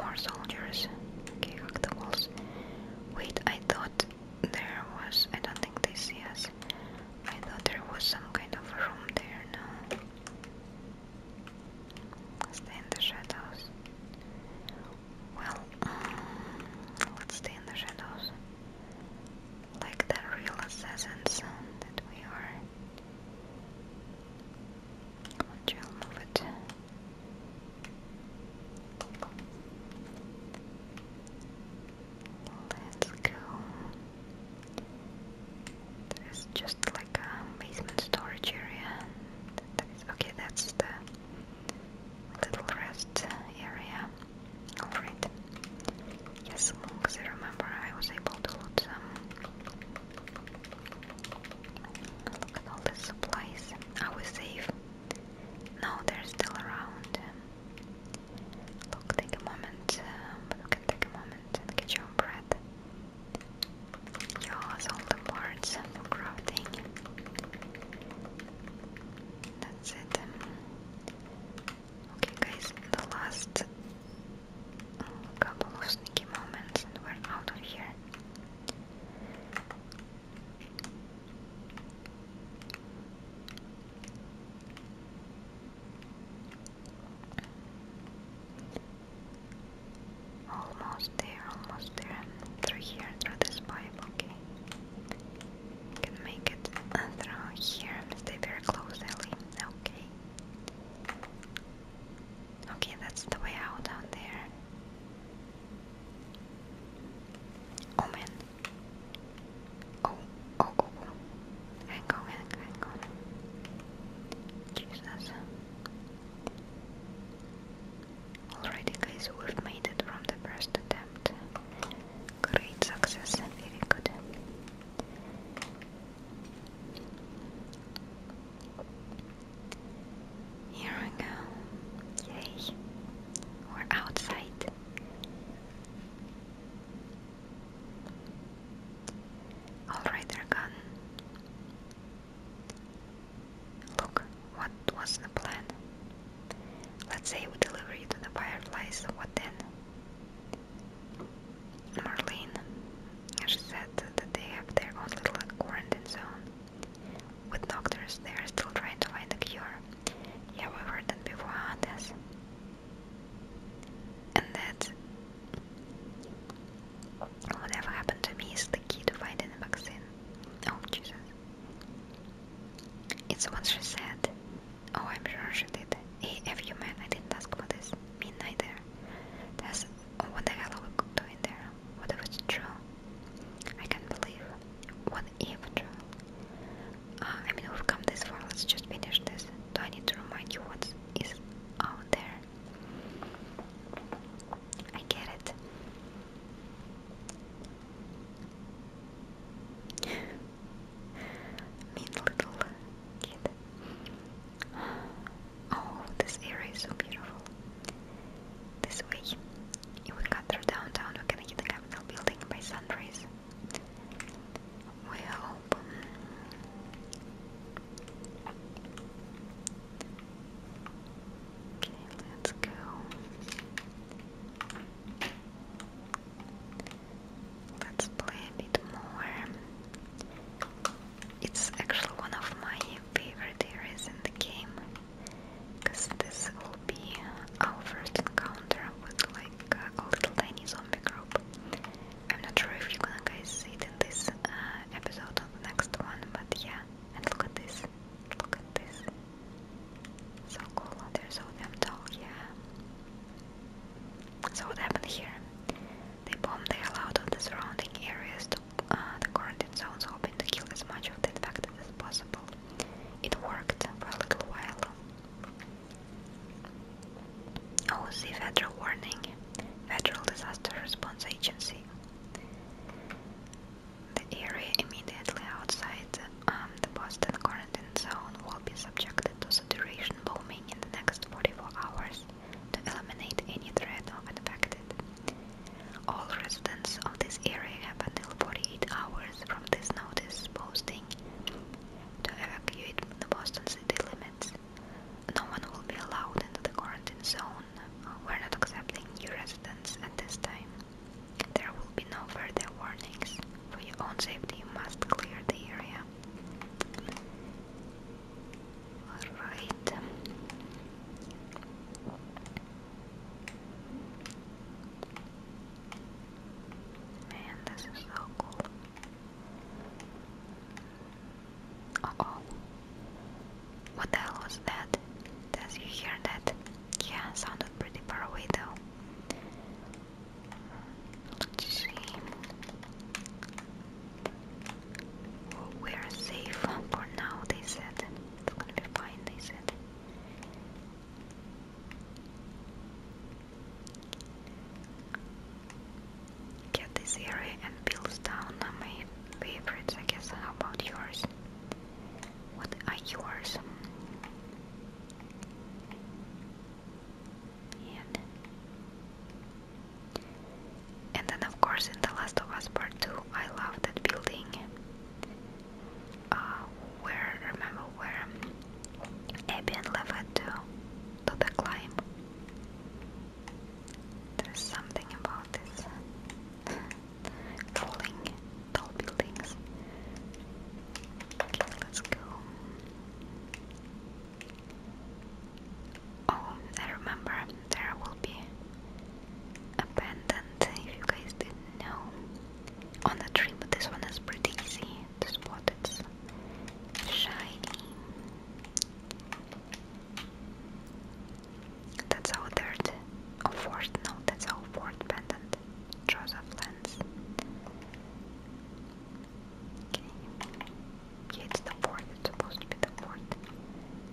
More, soldiers. Okay, hack the walls. Wait, I thought there was... I don't think they see us. I thought there was some kind of room there, no? Stay in the shadows. Well, um, let's stay in the shadows. Like the real assassins that we are. Let's go. There's just like a basement storage area. okay, that's the little rest area. Alright. Yes, because I remember I was able to loot some. Look at all the supplies. Are we safe? No, they're still around. Look, take a moment, but we can take a moment and get your own bread. all the parts for crafting. That's it. Okay, guys, the last a couple of sneaky moments and we're out of here. Almost there, almost there, through here, through this pipe, okay. can make it uh, through here stay very close, Ellie, okay. Okay, that's the way out down there. Oh man. Oh, oh, oh, oh, Hang on, hang on, hang on. Jesus. Alrighty, guys, we've made it from the first attempt. Great success, very good. Here we go. Yay. We're outside. Alright, they Look, what was the plan? Let's say we deliver you to the fireflies, what then? Marlene, she said that they have their own little quarantine zone, with doctors they are still trying to find a cure. Yeah, that before, huh, And that whatever happened to me is the key to finding a vaccine. Oh, Jesus. It's what she said. Oh, I'm sure she did. Hey, AF, you man, I didn't ask for this. midnight there? That's oh, what the hell are we doing there? What if it's true? I can't believe. What if true? Uh, I mean, we've come this far. Let's just finish this. Do I need to remind you what is out there? I get it. mean little kid. Oh, this area is so beautiful. This way, if we cut through downtown, we can hit the Capitol building by sunrise. We hope. Okay, let's go. Let's play a more. It's actually one of my favorite areas in the game because this will be our first encounter with like a little tiny zombie group. I'm not sure if you're gonna guys see it in this uh, episode or the next one, but yeah. And look at this, look at this. So cool, they're so damn tall, yeah. So what happened here? They bombed the hell out of the surrounding areas to uh, the quarantine zone is hoping to kill as much of the infected as possible. It worked for a little while. OC oh, Federal Warning Federal Disaster Response Agency The area immediately outside um, the Boston quarantine zone will be subjected to saturation bombing in the next 44 hours to eliminate any threat of infected. All residents of this area have until 48 hours from this notice posting to evacuate the Boston city limits. No one will be allowed into the quarantine zone. We're not accepting new residents at this time. There will be no further warnings. For your own safety, you must clear the area. Alright. Man, this is so cool. oh. What the hell was that? Does you hear that? Yeah, sounded pretty far away though. Let's see we are safe for now, they said. It's gonna be fine, they said. Get this area and Billstown are my favorites, guess. about yours? What are yours? And and then, of course, in The Last of Us Part 2, I love that building. Uh, where, remember where Abby and Lev had do the climb? There's something about this falling tall buildings. Okay, let's go. Oh, I remember there will be abandoned if you guys didn't know on the tree, but this one is pretty easy to spot. It's shiny. That's our third or fourth, no, that's our fourth pendant. Joseph Okay. it's the fourth it's supposed to be the fourth.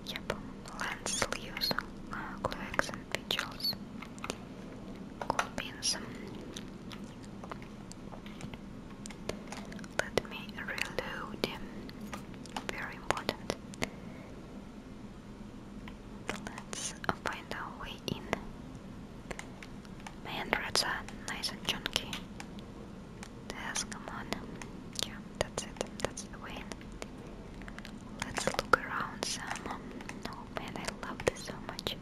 Yep, land sleeves, uh, cloaks and vigils. Cool beans. Let me reload. Very important. Let's find our way in. Man, rats are nice and chunky come on. Yeah, that's it. That's the win. Let's look around some. Oh man, I love this so much.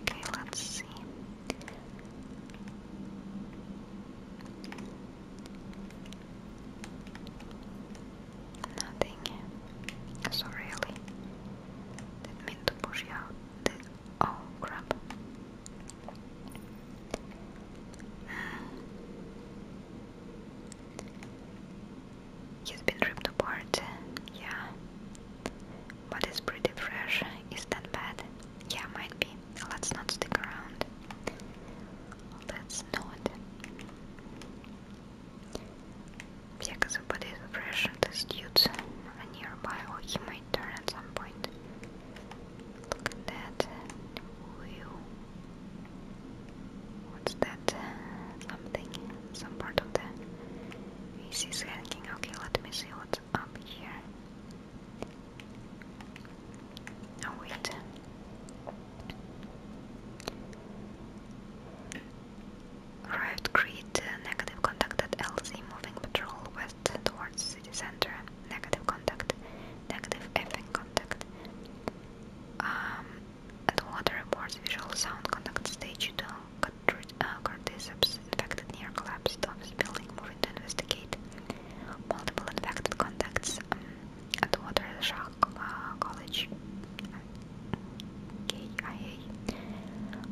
Okay, let's see. Nothing. So really, didn't mean push out. Oh crap! He's uh, been ripped apart, yeah. But it's pretty fresh. Is that bad? Yeah, might be. Let's not stick around. Let's not. Yeah, because the fresh. The dude's nearby, he might turn at some point. Look at that wheel. What's that? Something, some part of the AC is hanging. Okay, let me see what's up here. Oh, wait. Arrived grid, uh, negative contacted LZ moving patrol towards city center, negative contact, negative FM contact. Um, and water reports visual sound contact stage 2, uh, cordyceps infected near collapsed office building, moving to investigate. Multiple infected contacts um, at water shock uh, college. KIA.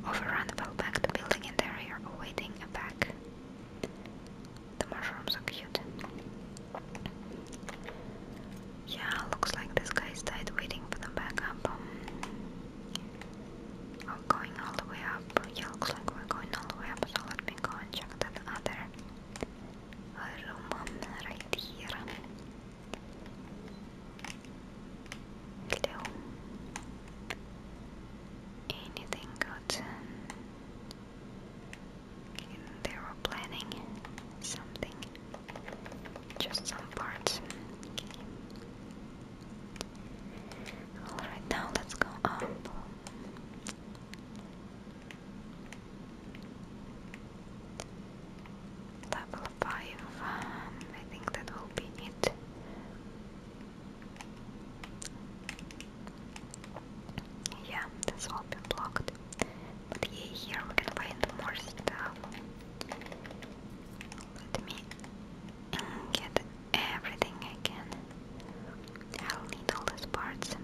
Overrun fell back to building interior awaiting a back. The mushrooms are cute. Yeah, looks like this guy's died waiting for the backup. Um, going all the way up. Yeah, looks like we're going all the way up, so let me go and check that other room um, right here. Hello. Anything good? They were planning something. Just some parts. Alright, now let's go up. Level 5. Um, I think that will be it yeah, that's all been blocked. But yeah, here we can find more stuff. Let me get everything I can. I'll need all these parts.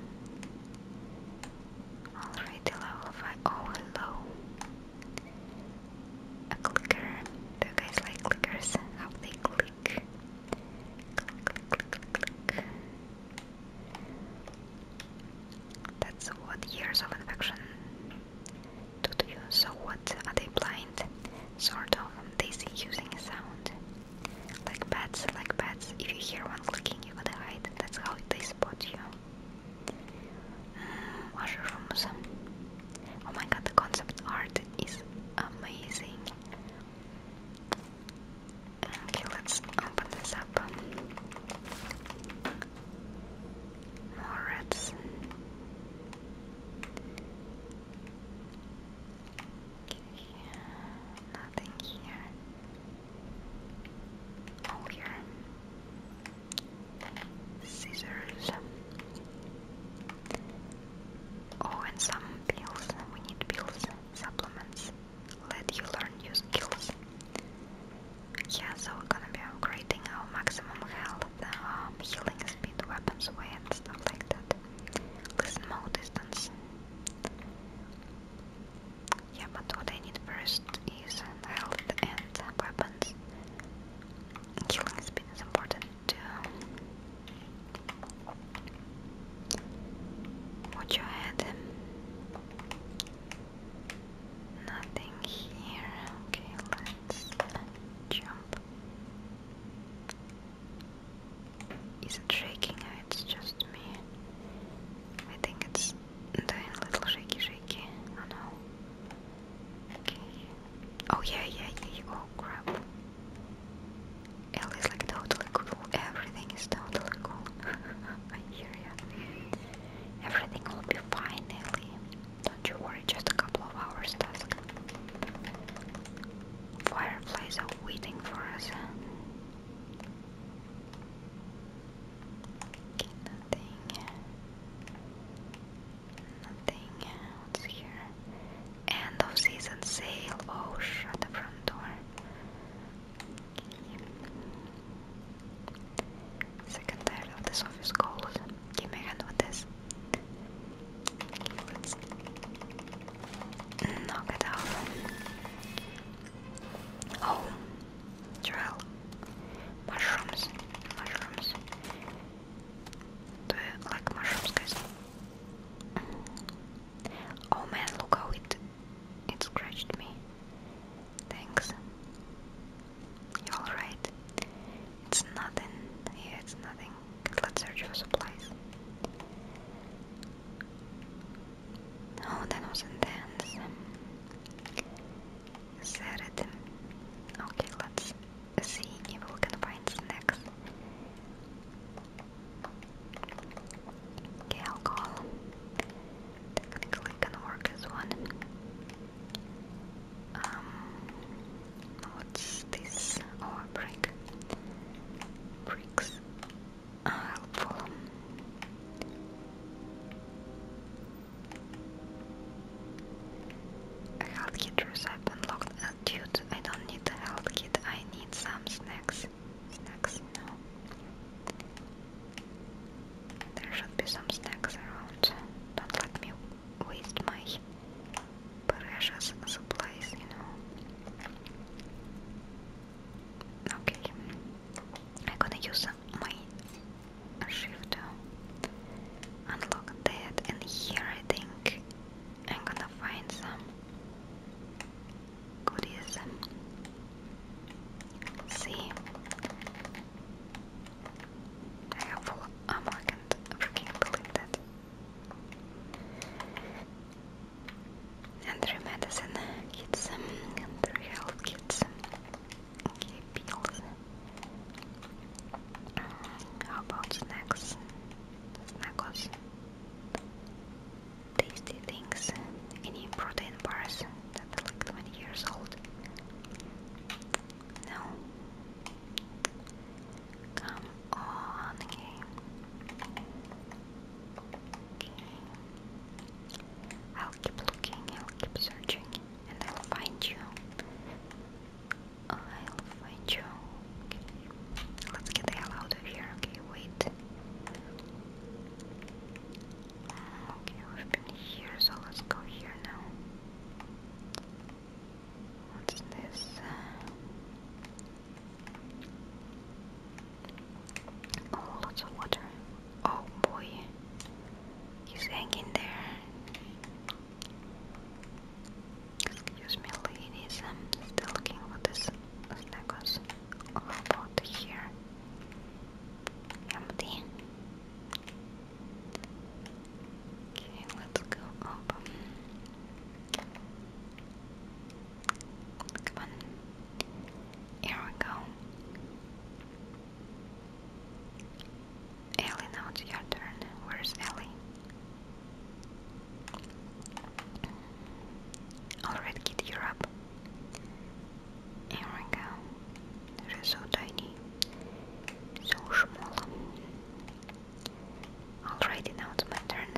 Already level 5. Oh, hello. A clicker. Do you guys like clickers? How they click? That's what years of infection do to you. So what are they blind? Sort of. They see using a sound. Like bats, like bats. If you hear one clicking, you gotta hide. That's how they spot you. Uh, mushrooms. Oh my god, the concept art is amazing. Okay, let's open this up. More reds. nothing here. Oh, here. Scissors. Oh, and some pills. We need pills, supplements. Let you learn new skills. Yeah, so we're gonna be upgrading our maximum health, um, healing speed, weapons weight, and stuff like that. Listen more distance. Yeah, but what I need first is health and weapons. Healing speed is important to watch your head. Nothing here. Okay, let's jump. Is it shaking or uh, it's just me? I think it's doing a little shaky shaky. Oh no. Okay. Oh yeah, yeah, yeah. Oh crap. Elle is like totally cool. Everything is totally cool. I hear ya. Everything will be fine, Don't you worry, just a couple of hours task. Fireflies are waiting for us. Okay, nothing. Nothing. What's here? end of season sale. Oh, shut the front door. Second of this office gold. Give me a hand with this. let out. Oh, drill. Mushrooms. Mushrooms. Do you like mushrooms, guys? Oh man, look how it it scratched me. Thanks. You alright? It's nothing. Yeah, it's nothing. Let's search for supplies. Oh, that was intense. Said it. Okay, let's see if we can find snacks. Okay, alcohol technically can work as one. Um, what's this? Oh, brick. Bricks are helpful. A health kit recipe unlocked. Uh, dude, I don't need a health kit. I need some snacks. Snacks? No. There should be some snacks around. Don't let me waste my precious supplies, you know. Okay. I'm gonna use my shift unlock that, and here I think I'm gonna find some goodies. See, I have full armor. I can't believe that. And medicine kits, um, and health kits. Um, pills. How about snacks? Snackos tasty things, any protein bars that are like 20 years old. No. Come on, game. Okay. I'll keep looking, I'll keep searching, and I'll find you. I'll find you. Okay. Let's get the hell out of here. Okay, wait. Okay, we've been here, so let's go here now. What's this? Oh, lots of water. Oh boy, he's hanging there. Excuse me, ladies, still looking for this los lagos. Oh, about here? Empty. Okay, let's go up. Come on. Here we go. Ellie, now it's your turn. Where's Ellie? Alright, kid, you're up. Here we go. so tiny, so small. Alrighty, now it's my turn.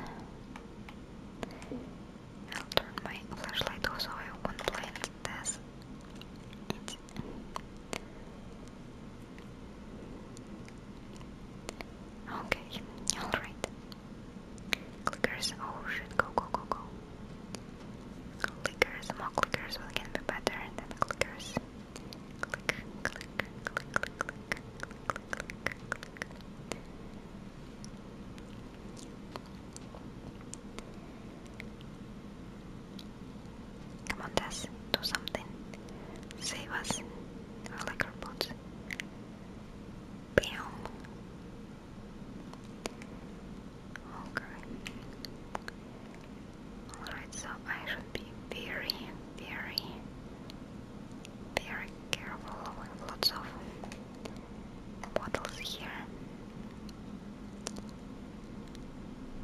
I'll turn my flashlight off so I won't blind this. Okay, alright. Clickers, oh shit, go, go, go, go. Clickers, more clickers will get be better than clickers. Click, click, click, click, click, click, click, click, click. Come on, Tess, do something. Save us. I like our boats. Bam. Okay. Alright, so I should be very, very, very careful with lots of bottles here.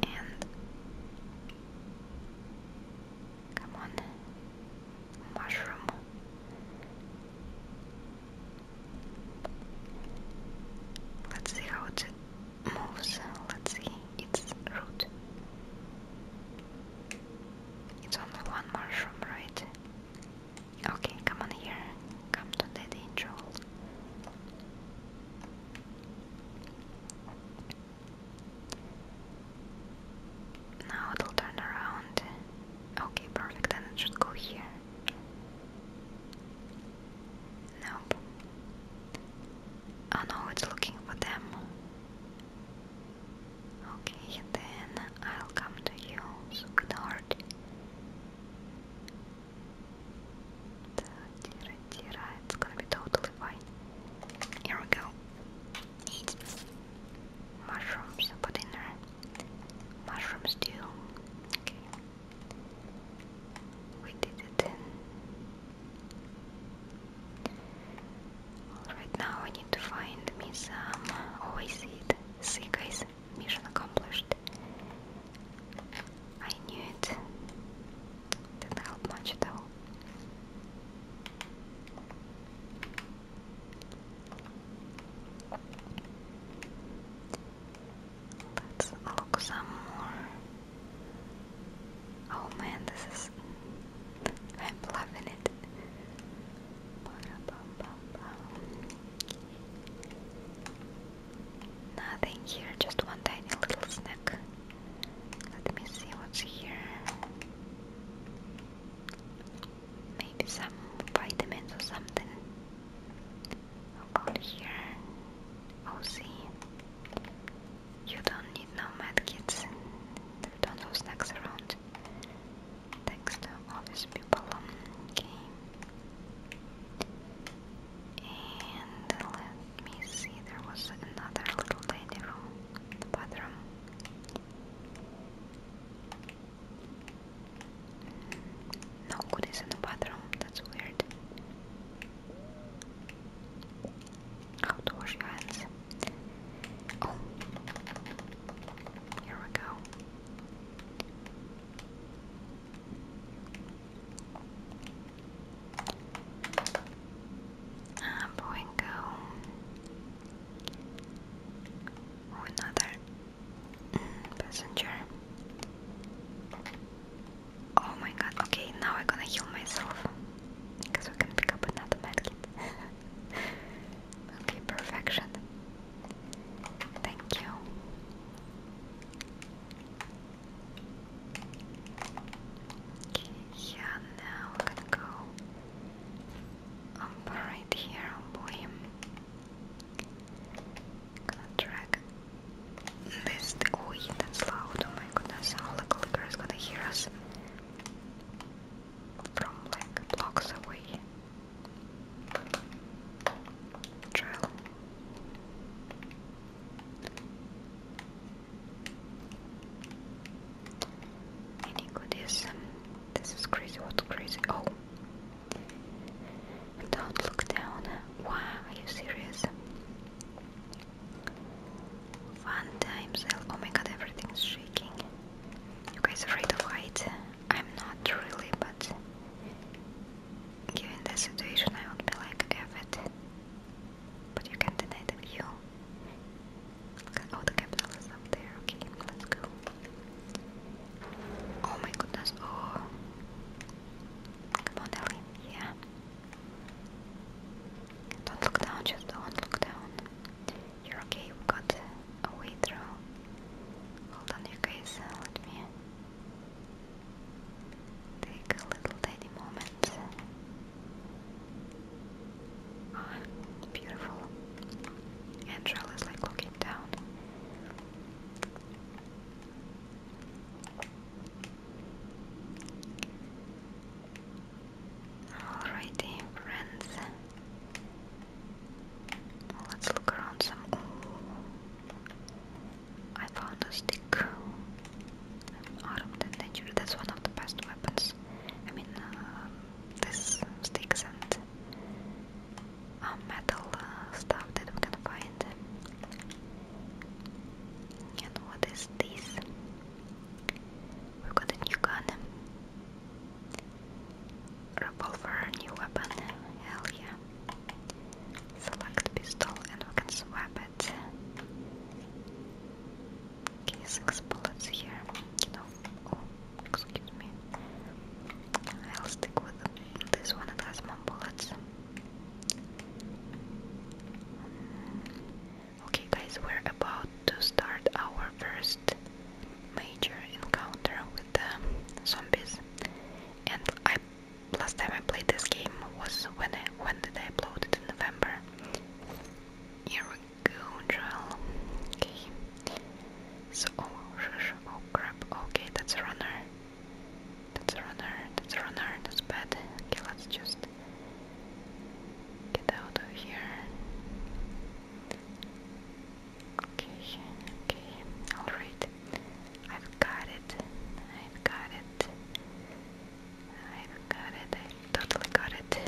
And come on mushroom. Let's see how it moves. Let's see its root. It's only one mushroom, right? Okay, come on here. Come to Daddy Joel. Now it'll turn around. Okay, perfect, then it go here. Nope. Oh no, it's looking for them. Okay, then I'll come to you, sweetheart. It's gonna be totally fine. Here we go. Eat mushrooms for dinner. Mushroom stew. Okay. We did it. Alright, now I need to find me some. Oh, See, guys, mission accomplished. I knew it. Didn't help much though. Let's look some more. Oh man, this is. I'm loving it. Nothing here, just one tiny little snack. Let me see what's here maybe some vitamins or something. About here, oh see, you don't need no medkits. don't no snacks around. Thanks all these people. Okay. And let me see, there was another little lady room, bathroom. No good is in the bathroom, that's weird. How to wash your hands. Oh, here we go. I'm ah, go. another passenger. Oh my god, okay, now I'm gonna heal myself. Because we can pick up another medkit. okay, perfection. Thank you. Okay, yeah, now we're gonna go um, right here on him. Gonna this. Oh, yeah, that's loud! Oh my goodness, how the clicker gonna hear us from like blocks away. Drill. Any goodies? This is crazy. What's crazy? Oh, don't look down. Why? are you serious? One time Oh my god, everything's shaking. You guys afraid of height? I'm not really, but given the situation, I would be like, F But you can deny the view. Oh, the capital up there. Okay, let's go. Oh my goodness, oh. Come on, Ellie, yeah. Don't look down, just don't look down. You're okay, we got a through. Hold on, you guys, uh, let me take a little tiny moment. Ah, beautiful. Andrel is like looking came Alrighty, friends. Let's look around some. Oh, I found a stick. Armed and dangerous. That's one of the best weapons. I mean, uh, this sticks and um, metal uh, stuff that we can find. And what is this? We've got a new gun. Revolver, new weapon. Hell yeah. Select pistol and we can swap it. Okay, six bullets here. You oh, excuse me. I'll stick with this one, it has more bullets. Okay, guys, we're about to start our first major encounter with the zombies. And I last time I played this game was when I, when did I it in November? Here we go, drill. Okay oh, oh crap, okay, that's a runner. That's a runner, that's a runner, that's bad. Okay, let's just get out of here. Okay, okay, alright. I've got it, I've got it. I've got it, I totally got it.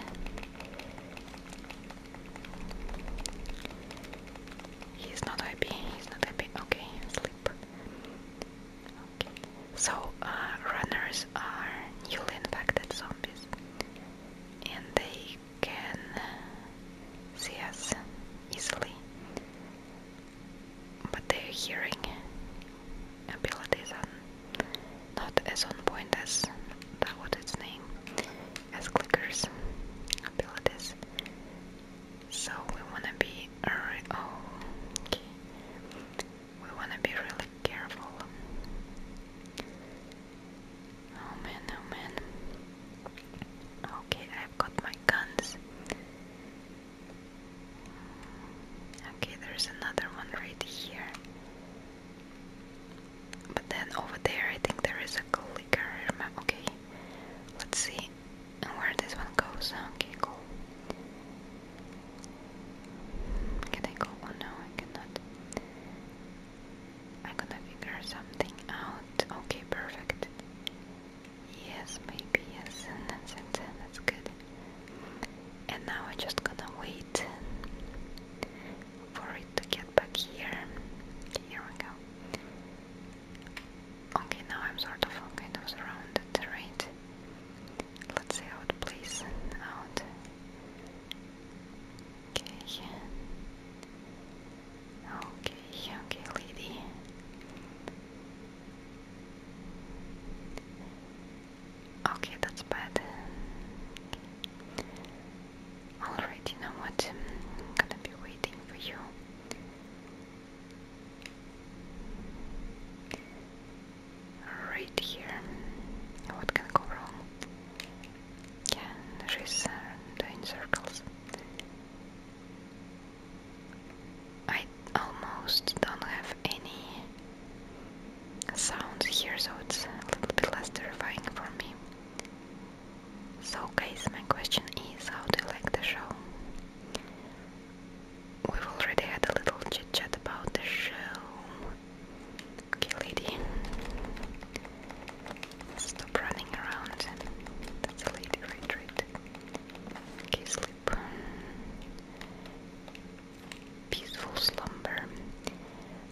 He's not happy, he's not happy. Okay, sleep. Okay. So, uh, runners are newly infected zombies and they can see us easily, but their hearing abilities are not as on point as that what its name as clickers abilities. So we wanna be oh, okay. we wanna be really careful. Oh man, oh man. Okay, I've got my guns. Okay, there's another one right here. But then over there, I think there is a clicker. Okay, let's see where this one goes. Okay, cool. Can I go? Oh no, I cannot. I'm gonna figure something out. Okay, perfect. Yes, maybe, yes. And then, That's then That's good. And now we're just gonna wait for it to get back here. Here we go. Okay, now I'm sort of kind of surrounded, right? Let's see how it plays out. Okay. Okay, okay, lady. Okay, that's bad. Alright, you know what? I'm gonna be waiting for you. Right here. What can go wrong? Yeah, she's doing uh, circles. I almost don't have any sounds here, so it's a little bit less terrifying for me. So guys, my question is, how do you like the show? We've already had a little chit-chat about the show. Okay, lady. Stop running around. That's a lady, right, right? Okay, sleep. Peaceful slumber.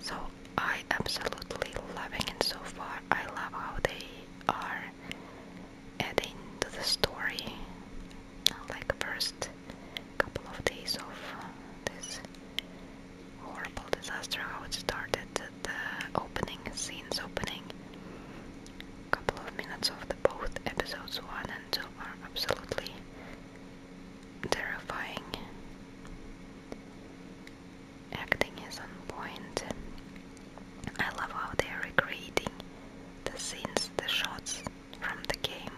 So I absolutely loving it so far. I love how they are adding to the story, like first couple of days of uh, this horrible disaster, how it started, the opening scenes opening. Couple of minutes of both episodes one and two are absolutely terrifying acting is on point. I love how they are recreating the scenes, the shots from the game.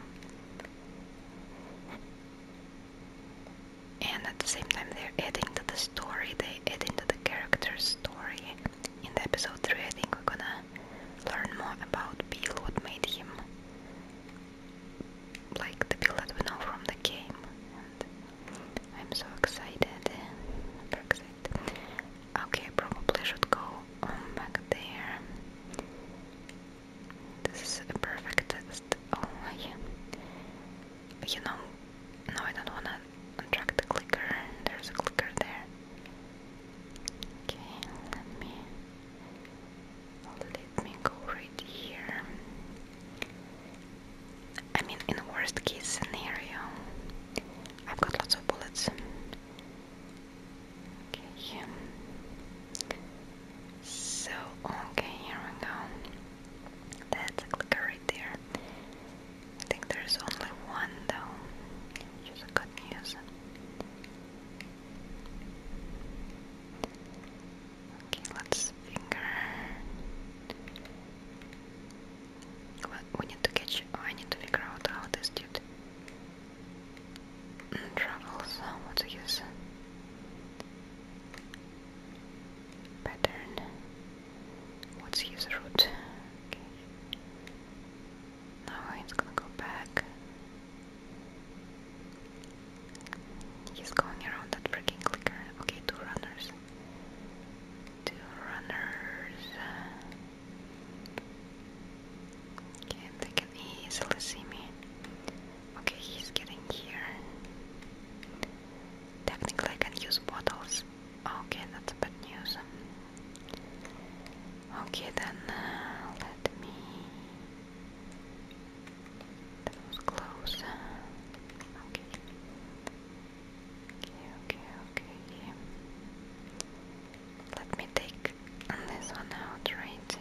And at the same time, they're adding to the story, they add into the character's story. In the episode 3, I think we're gonna learn more about Bill, what made him like the Bill that we know from the game, and I'm so excited. excited. Okay, probably should go back there. This is a perfect Oh, yeah. You know, no, I don't wanna attract the clicker. There's a clicker there. Okay, let me let me go right here. I mean, in the worst case scenario, I've got lots of bullets. Okay. So, okay, here we go. That's a clicker right there. I think there's only one though, which is good news. Okay, let's finger. We need to catch. I need to figure out how this dude travels. What's his pattern? What's his route? Okay. Now he's gonna go back. He's going around that freaking clicker. Okay, two runners two runners. Okay, they can easily see me. Okay, he's getting here. Technically, I can use bottles. Okay, that's bad news. Okay, then uh, let me. close. Okay. Okay, okay, okay. Let me take this one out, right?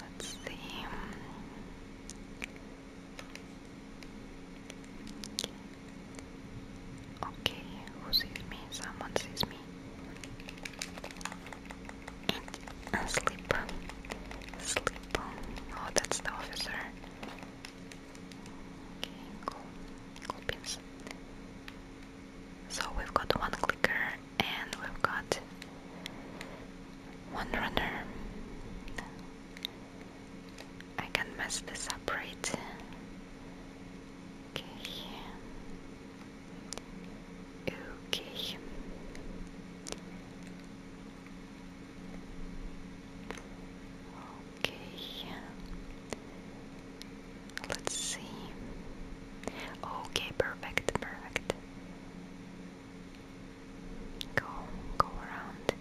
Let's see. Okay, who sees me? Someone sees me and uh, sleep. Sleep. Oh, that's the officer. Okay, cool. Cool pins. So we've got one clicker and we've got one runner. I can mess this up, right? Okay. Okay. Okay. Let's see. Okay, perfect, perfect. Go, go around.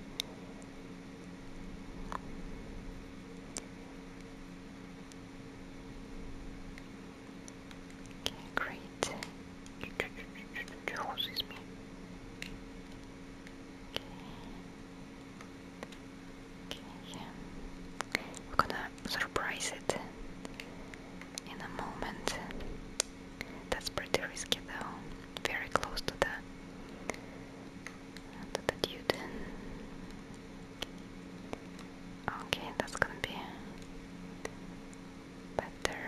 Okay, great. Oh, excuse me. Okay. Okay, We're gonna surprise it in a moment. That's pretty risky though. Very close to the the dude. Okay, that's gonna be better.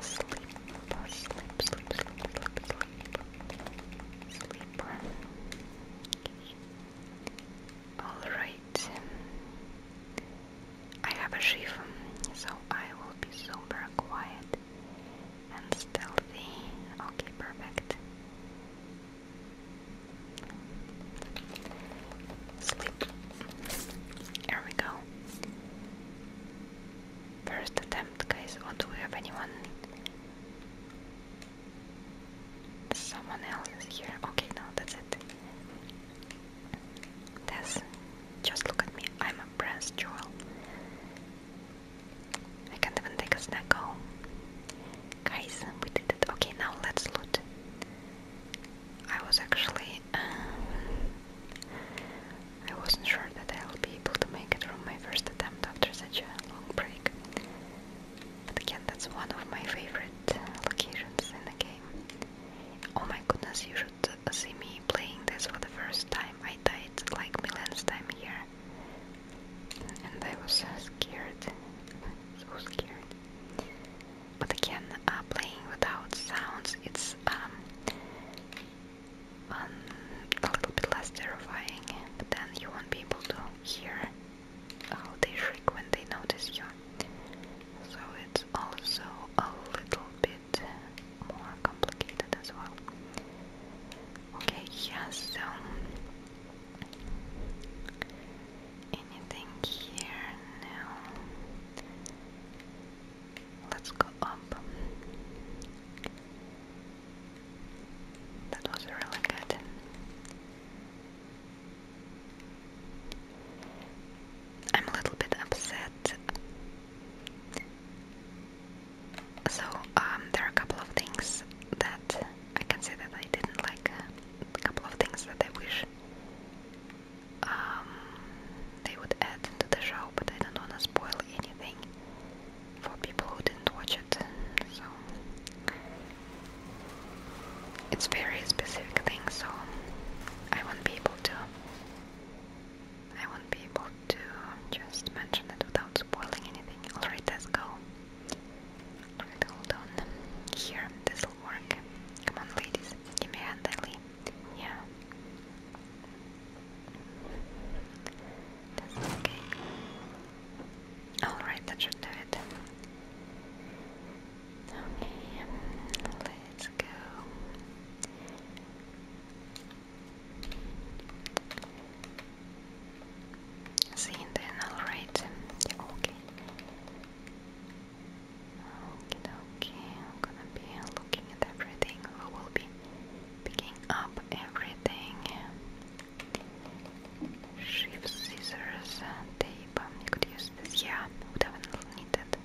Sleep, sleep, sleep, sleep, sleep, sleep, sleep. All right. I have a shiv, so I will be super quiet, and stealthy. Okay, perfect. Sleep. Here we go. First attempt, guys. Or oh, do we have anyone? Someone else here. Okay, no, that's it. Tess, just look at me. I'm a brass jewel. I can't even take a snack Guys, we did it. Okay, now let's loot. I was actually... Uh, I wasn't sure that I'll be able to make it from my first attempt after such a long break. But again, that's one of my favorite uh, locations in the game. Oh my goodness, you should uh, see me playing this for the first time. I died like millions time here and I was uh, scared, so scared. But again, uh, playing without sounds, it's um, um, a little bit less terrifying, but then you won't be able to hear how they shriek when they notice you. So it's also a little bit more complicated as well. Okay, yes, so Anything here now? Let's go up. That was really good. I'm a little bit upset. So, um, there are a couple of things that I can say that I didn't like a couple of things that I wish um, they would add into the show, but I don't want to spoil anything for people who didn't watch it. So it's very specific thing, so I won't be able to. I won't be able to just mention it without spoiling anything. Alright, let's go hold on. Here, this'll work. Come on, ladies. Give me a hand, Ellie. Yeah. That's okay. Alright, that should do it. Okay, let's go the internal Okay. Okay, okay. I'm gonna be looking at everything. We will be picking up everything. Shift scissors, tape. You could use this. Yeah, would have needed.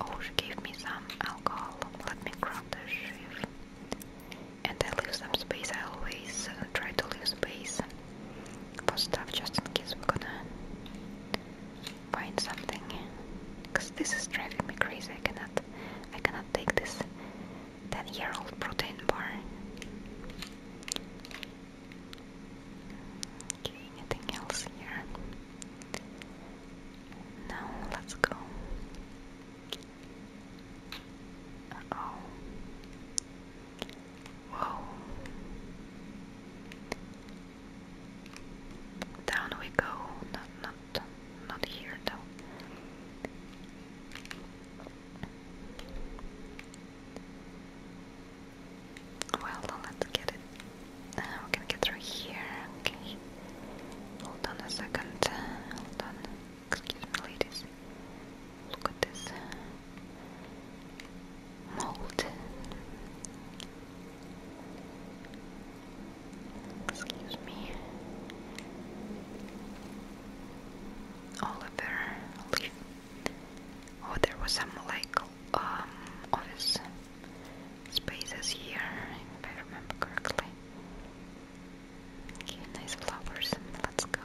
Oh, she me some alcohol. Let me grab the shift. And I leave some space. I always uh, try to leave space stuff just in case we're gonna find something because this is driving me crazy I cannot I cannot take this 10 year old protein bar anything else here no let's go oh Whoa. Down we go. Not not not here though. Well, let's get it. Uh, we can get through here. Okay. Hold on a second. Hold on. Excuse me, ladies. Look at this molten. Excuse me. Oliver, leave. Oh, there was some like um office spaces here, if I remember correctly. Okay, nice flowers. Let's go.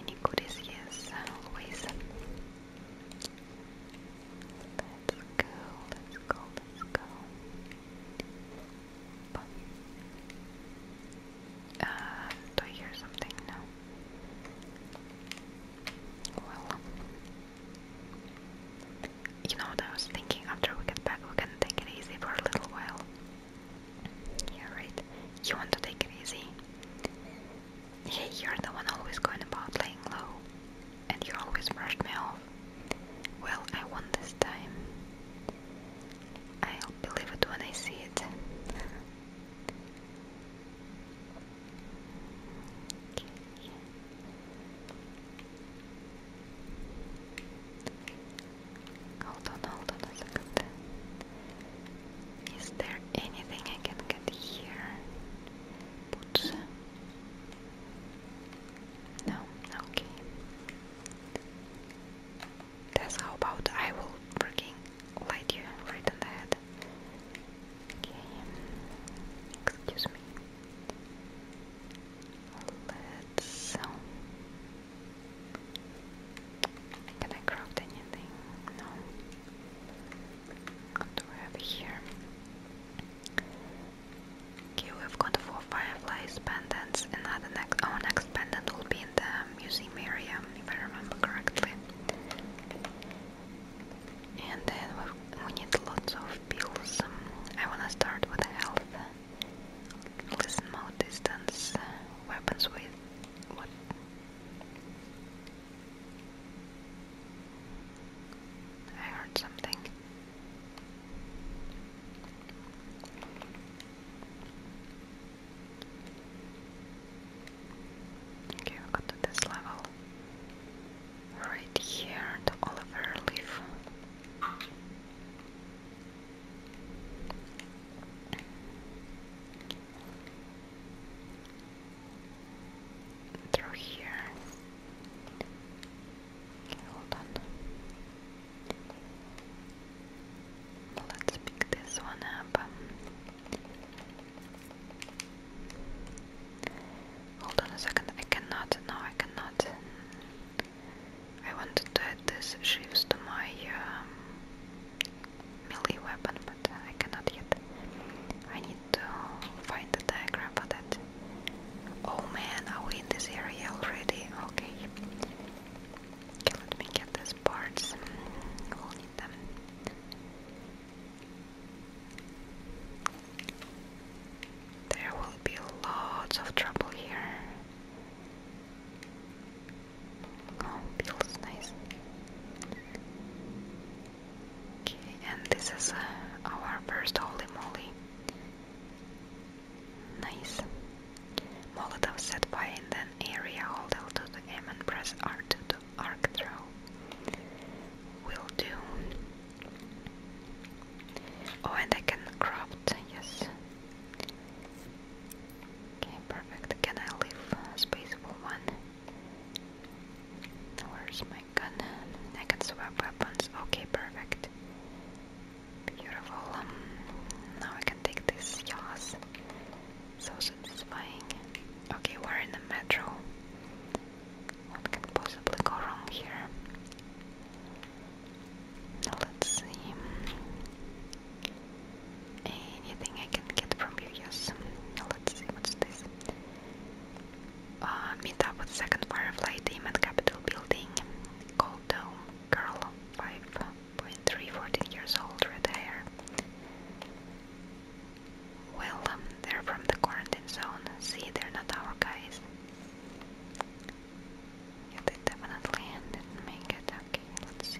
Any goodies? Yes, always. Let's go, let's go, let's go. But, uh, do I hear something? No. Well, you know what I was thinking? After we get back, we can take it easy for a little while. Yeah, You want to take it easy? Yeah, you're the one always going about laying low. And you always brushed me off. Well, I won this time. I'll believe it when I see it. Hold on, hold on a second. Is there anything I can get here? Put. No, okay. how about I will freaking light you right on the head. Okay, excuse me. Let's. Can I craft anything? No. What do we have here? we've got four fireflies pendants. Another next, our next pendant will be in the museum area, if I remember correctly. And then we need lots of pills. I wanna start with health. Listen, mode distance, weapons with what I heard something. Okay, we got to this level. Right here, the Oliver leaf through here. Okay, hold on. Let's pick this one up. Hold on a second. I cannot. No, I cannot. I want to add this shifts to my um, melee weapon, but uh, I cannot yet. I need to find the diagram for that. Oh man, are we in this area already? Okay. Okay, let me get these parts. We'll need them. There will be lots of trouble here. Oh, feels nice. Okay, and this is uh, our first holy moly. Nice. Molotov set fire in an area, hold L2 to aim and press R2 to arc throw. Will do. Oh, and I can craft, yes. Okay, perfect. Can I leave space for one? Where's my gun? I can swap weapons. Okay, perfect. Beautiful. Um, now I can take this yaws. So satisfying. Okay, we're in the metro. What can possibly go wrong here? Let's see. Anything I can get from you, yes. Let's see what's this. Uh, meet up with second Firefly team at Capitol Building. Gold Girl, 5.3, 14 years old, red hair. Well, um, they're from the quarantine zone. See, they're not our guys. Yeah, they definitely didn't make it. Okay, let's see.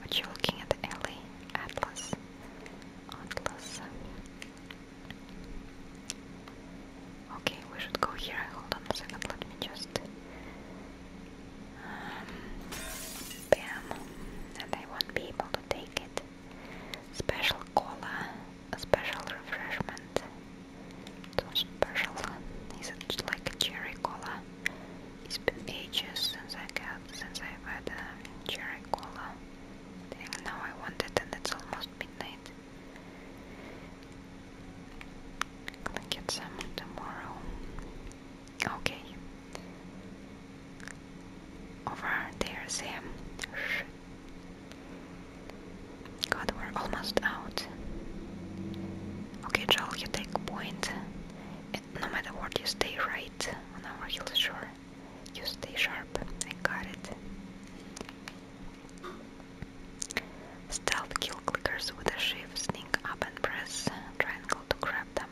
What you looking at, Ellie? Atlas. Atlas. Okay, we should go here. Hold on a second. Let me just. Um, bam, and I won't be able to take it. Special cola, a special refreshment. special. Is like cherry cola? It's been ages since I got since I've had a uh, cherry cola. And now I want it and it's almost midnight. I'll get some tomorrow. Okay. Over there's him. God, we're almost out. Okay, Joel, you take point no matter what, you stay right on our heels. Sure, You stay sharp. I got it. Stealth kill clickers with a shift sneak up and press triangle to grab them.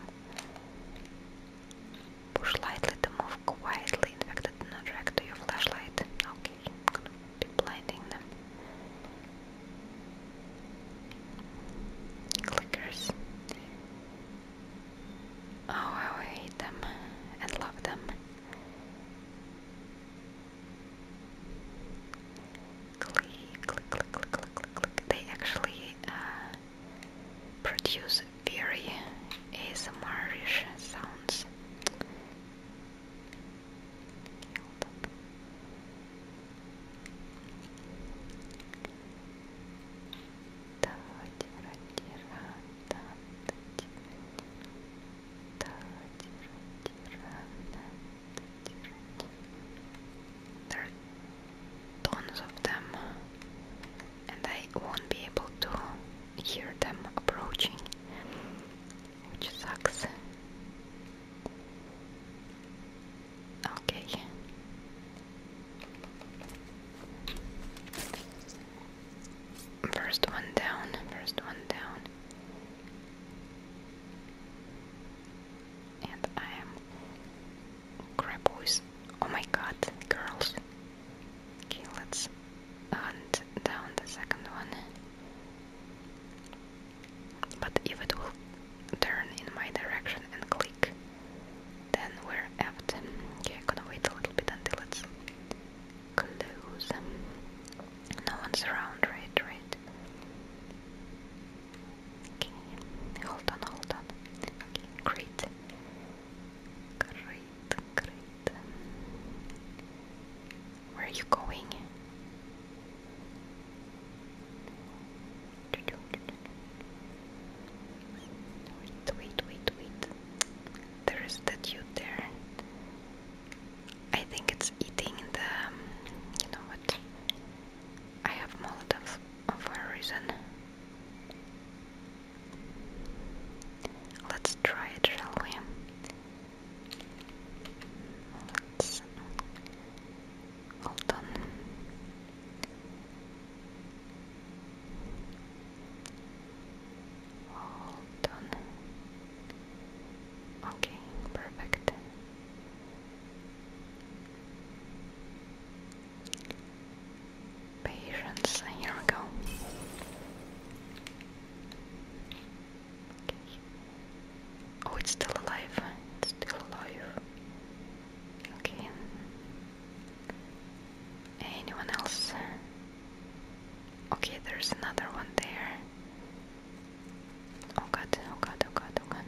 Push lightly to move quietly. Infected, not drag to your flashlight. Okay, I'm going be blinding them clickers. Oh, I hate them and love them. Click, click, click, click, click, click, click. They actually uh, produce very asmr sounds. There are tons of them, and I won't be able to hear them approaching, which sucks. Okay. First one down, first one down. And I am crap boys. Oh my god, girls. Okay, let's hunt down the second one. But if it will turn in my direction and click, then we're apt. Okay, I'm gonna wait a little bit until it's close. No one's around, right? Right. Okay, hold on, hold on. Okay, great. Great, great. Where are you going? Wait, wait, wait, wait. There is that dude there. I think it's eating the. Um, you know what? I have Molotov for a reason. Let's try it, shall we? Let's. Hold all done. Okay, perfect. Patience, here we go. Oh, it's still alive. still alive. Okay. Anyone else? Okay, there's another one there. Oh god, oh god, oh god, oh god.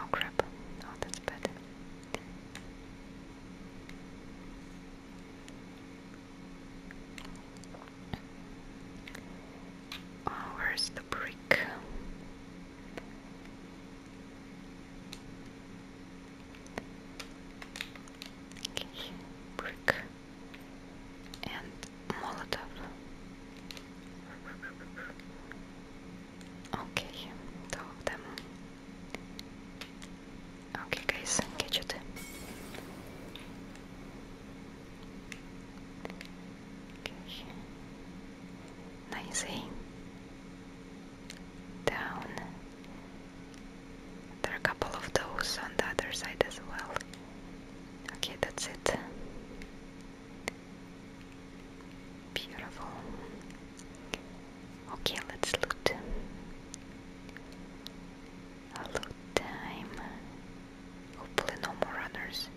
Oh, crap. Oh, that's bad. Oh, where's the brick? Okay, and Molotov. Okay, two of them. Okay, guys, get it. Okay. Nicely. Down. There are a couple of those on the other side as well. Okay, that's it. Beautiful. Okay, let's loot. loot time. Hopefully, no more runners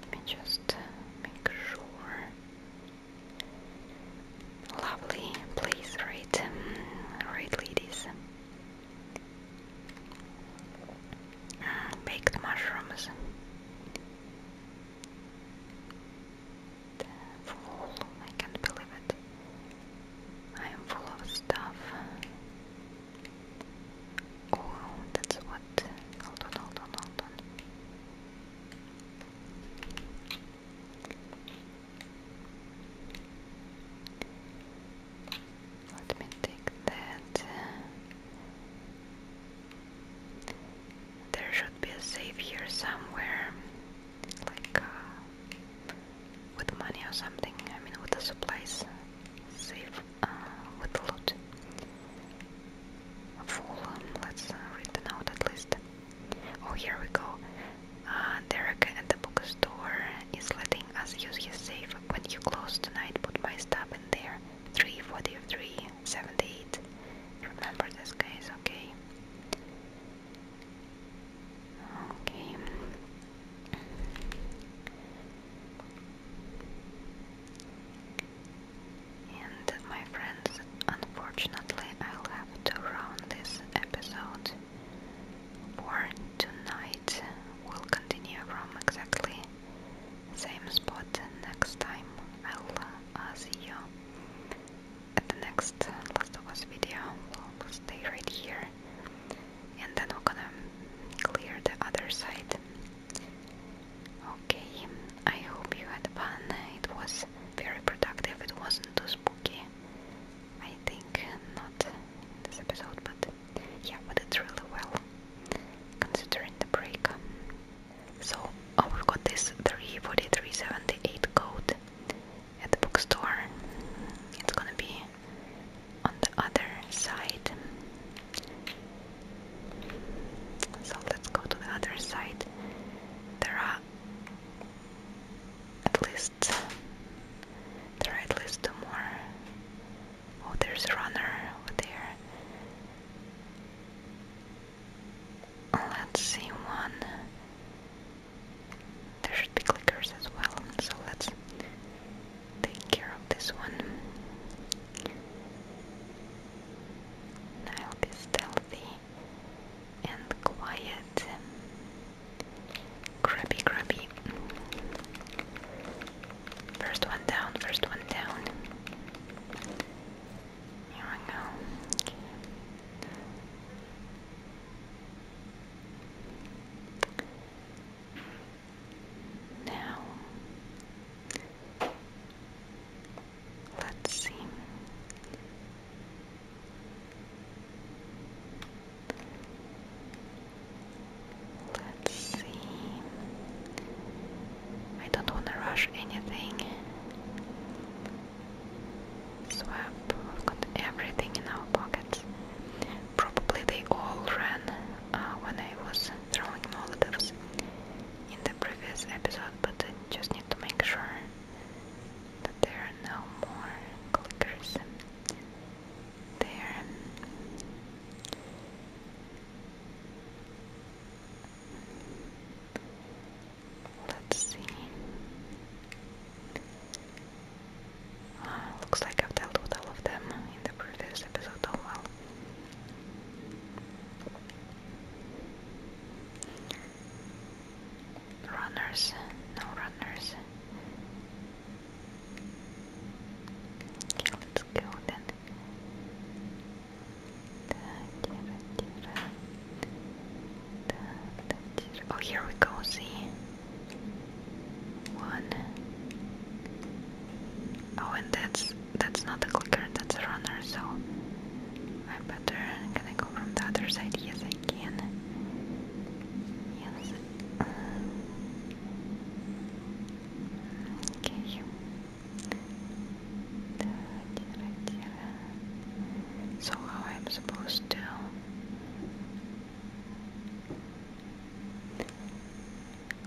let me just uh, make sure. Lovely place, right? Um, right, ladies. Uh, baked mushrooms. Full, I can't believe it. I am full of stuff. Oh, that's what. Hold on, hold on, hold on. Let me take that. There should be a safe here somewhere, like uh, with money or something, I mean with the supplies, safe, uh, with the loot. Full, um, let's uh, read the note at least. Oh, here we go. Uh, Derek at the bookstore is letting us use his safe. When you close tonight, put my stuff in there. Three forty-three, seventy-eight. Remember this, guys, okay? Okay. And my friends, unfortunately, I'll have to round this episode for tonight. We'll continue from exactly same spot next time. I'll uh, see you at the next Last of Us video. We'll stay right here and then we're gonna clear the other side okay I hope you had fun it was very productive it wasn't too spooky I think not in this episode but yeah but it's really well considering the break so oh, we've got this 34378 code at the bookstore it's gonna be on the other side. So let's go to the other side. There are at least there are at least two more. Oh, there's a runner over there. Let's see one. There should be clickers as well. So let's take care of this one. I'll be stealthy and quiet. Grabby, grabby. First one down, first one down. Here we go. Now, let's see. Let's see. I don't want to rush anything. So We've got everything in our pockets. Probably they all ran uh, when I was throwing Molotovs in the previous episode, but I just need to make sure that there are no more clickers there. Um, let's see. Uh, looks like I've dealt with all of them in the previous episode. Oh well. Runners, no runners. let's go then. Oh, here we go. See, one. Oh, and that's that's not a clicker, that's a runner. So I better. Can I go from the other side? Yes, I can. Yes. Okay. So how i supposed to?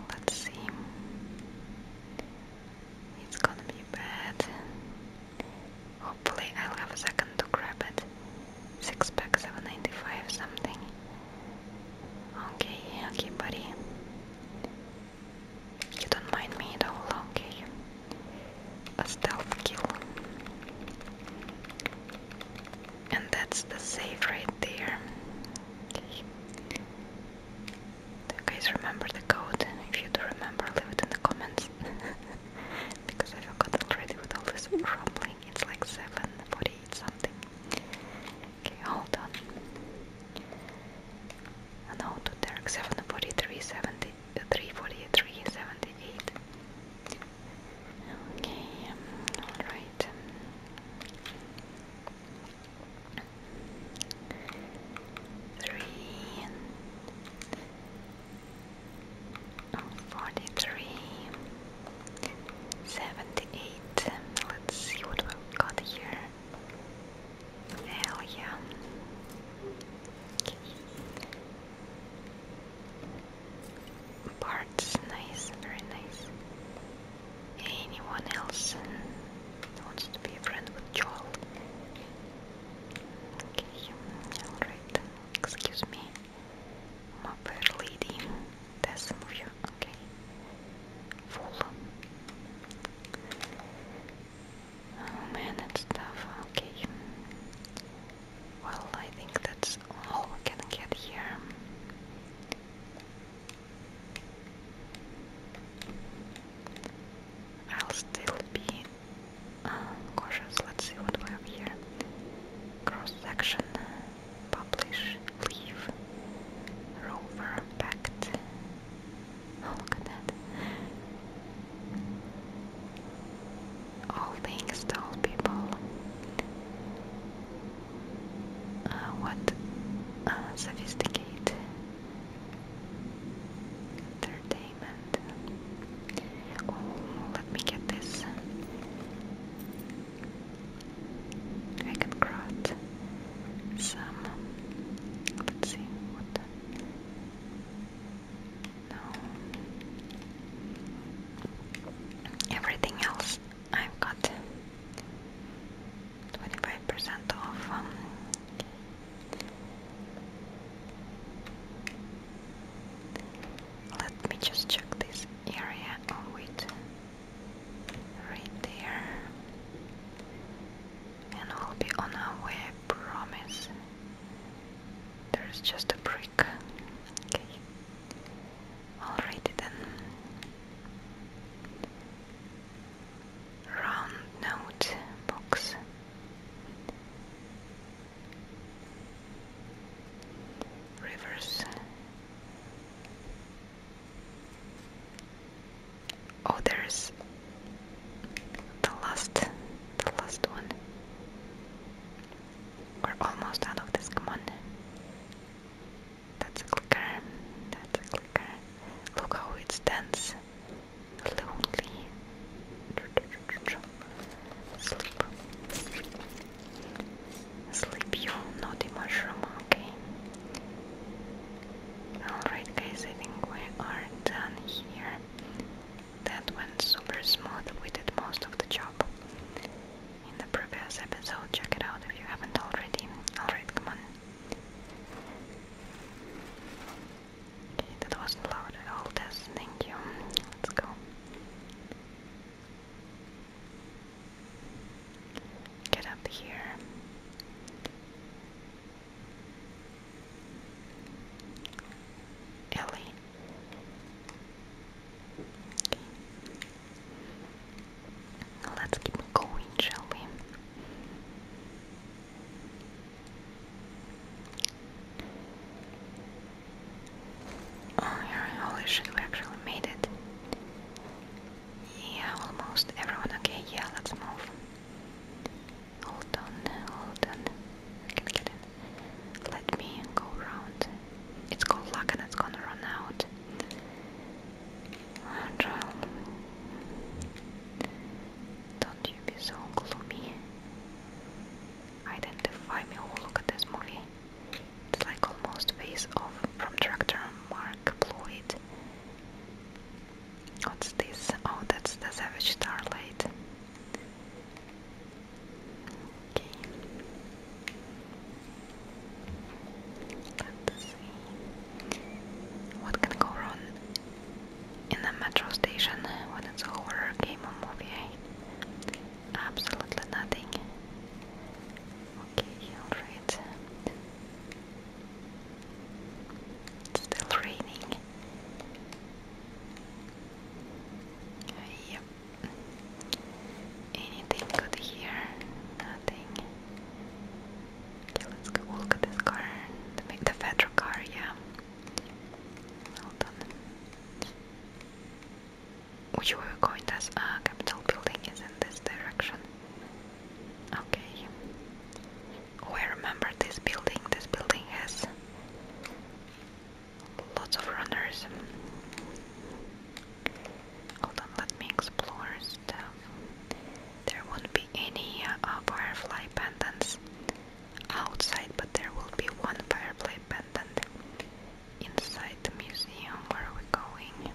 Let's see. It's gonna be bad. Hopefully, I'll have a second to grab it. Six pack, seven ninety five, something. Okay, okay, buddy. You don't mind me do at all, okay? A stealth kill and that's the save right there. Okay. Do you guys remember the code? If you do remember, leave it in the comments. because I forgot already with all this rumbling. It's like 748 something. Okay, hold on. no, to Derek 743, Okay, alright. Three oh, forty three seventy eight. Let's see what we've got here. Hell yeah. Parts nice, very nice anyone else wants to be a friend with Joel. Okay, alright. Excuse me. My lady. There's some Okay. Full. Oh man, it's tough. Okay. Well, I think that's all we can get here. I'll still be uh, cautious. Let's see what we have here. Cross section, publish, leave, rover, packed. Oh, look at that. All things to all people. Uh, what uh, sophisticated entertainment. Oh, let me get this. I can craft some. Let's see what. no. Everything else I've got 25% off um, let me just check this area oh, wait right there and we'll be on our way I promise there's just a brick okay alrighty then round note box. Rivers. Oh, there's the last, the last one. We're almost out of this. Come on. That's a clicker. That's a clicker. Look how it stands. Lonely. Sleep. Sleep you naughty okay. Alright guys, I think we are done here. That went super smooth, we did most of the job in the previous episode. Check it out if you haven't already. Alright, come on. Okay, that was loud at all, Tess. Thank you. Let's go. Get up here. Ellie. Okay. Let's keep going, shall we? Oh holy shit, we actually made it. Yeah, almost everyone okay, yeah, let's move. Hold on, hold on. I get in. Let me go around. It's called luck and it's gonna run out. Angel, don't you be so gloomy. Identify me. Oh, look at this movie. It's like almost face off from director Mark Floyd. What's this? Oh, that's the Savage Starlight. Okay. What can go wrong in a metro station when it's a horror game or movie? Absolutely nothing. Okay, alright. still raining. yep. Anything good here? Nothing. Okay, let's go look at this car. The, the yeah. Hold on. Which way we're going? This uh, Capitol building is in this direction. Okay. Oh, I remember this building. This building has lots of runners. Hold on, let me explore. Um, there won't be any uh, firefly pendants outside, but there will be one firefly pendant inside the museum where we're going.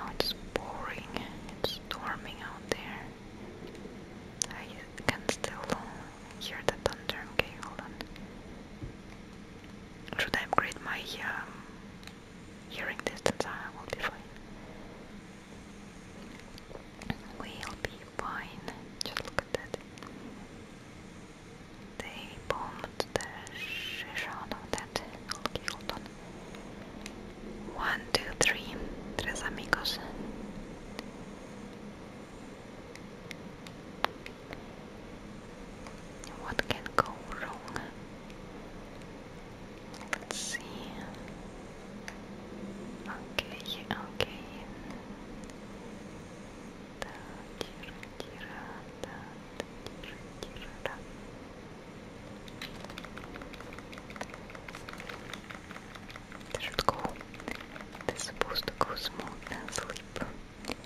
oh, it's pouring, it's storming out there. I can still hear the thunder. Okay, hold on. Should I upgrade my um, hearing distance? I ah, will be fine. We'll be fine. Just look at that. They bombed the shit out of that. hold on. One, two, three. Tres amigos. What can go wrong? Let's see. Okay, okay. It should supposed to go smooth and sleep. Sleep,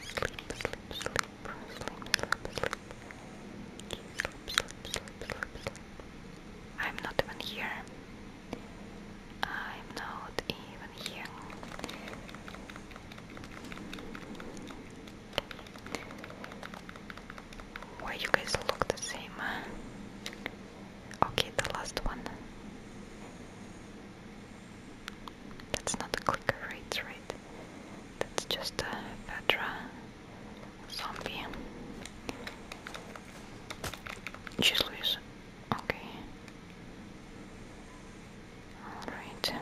sleep, sleep, sleep, sleep, sleep. Sleep, sleep, sleep, sleep, sleep. I'm not even here. I'm not even here. Why you guys look the same? Okay, the last one. That's not a clicker, right? Right? That's just a Petra zombie. She's loose. Okay. Alright.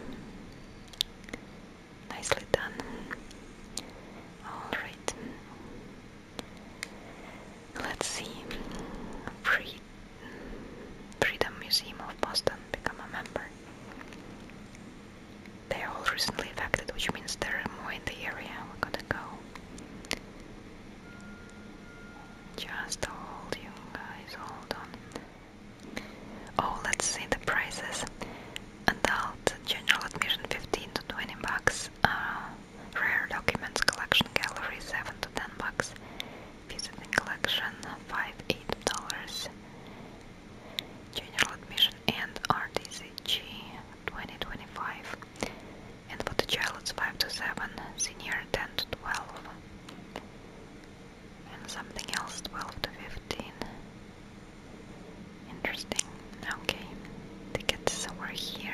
Nicely done. Alright. Let's see. Free Freedom Museum of Boston become a member. They're all recently affected, which means there are more in the area. We're gonna go. Just hold you guys, hold on. Oh, let's see the prices. Adult general admission 15 to 20 bucks. Uh, rare Documents Collection Gallery, 7 to 10 bucks. Visiting Collection, 5 8 dollars. General Admission and RDCG, 2025. And for the child, it's 5 to 7, senior 10 to 12. And something else, 12 to 15. Interesting. Okay, tickets over here.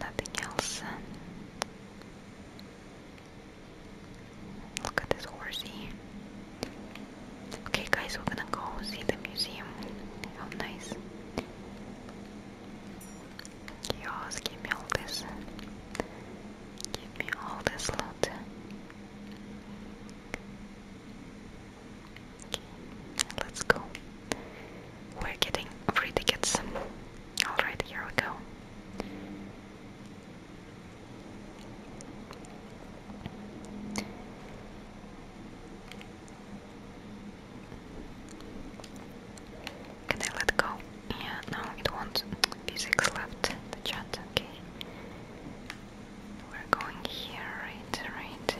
Nothing else. Look at this horsey. Okay, guys, we're gonna go see the museum. How nice. give me all this. Give me all this loot let's go. We're getting free tickets. Alright, here we go. Can I let go? Yeah, no, it won't. Physics left the chat, okay. We're going here, right, right.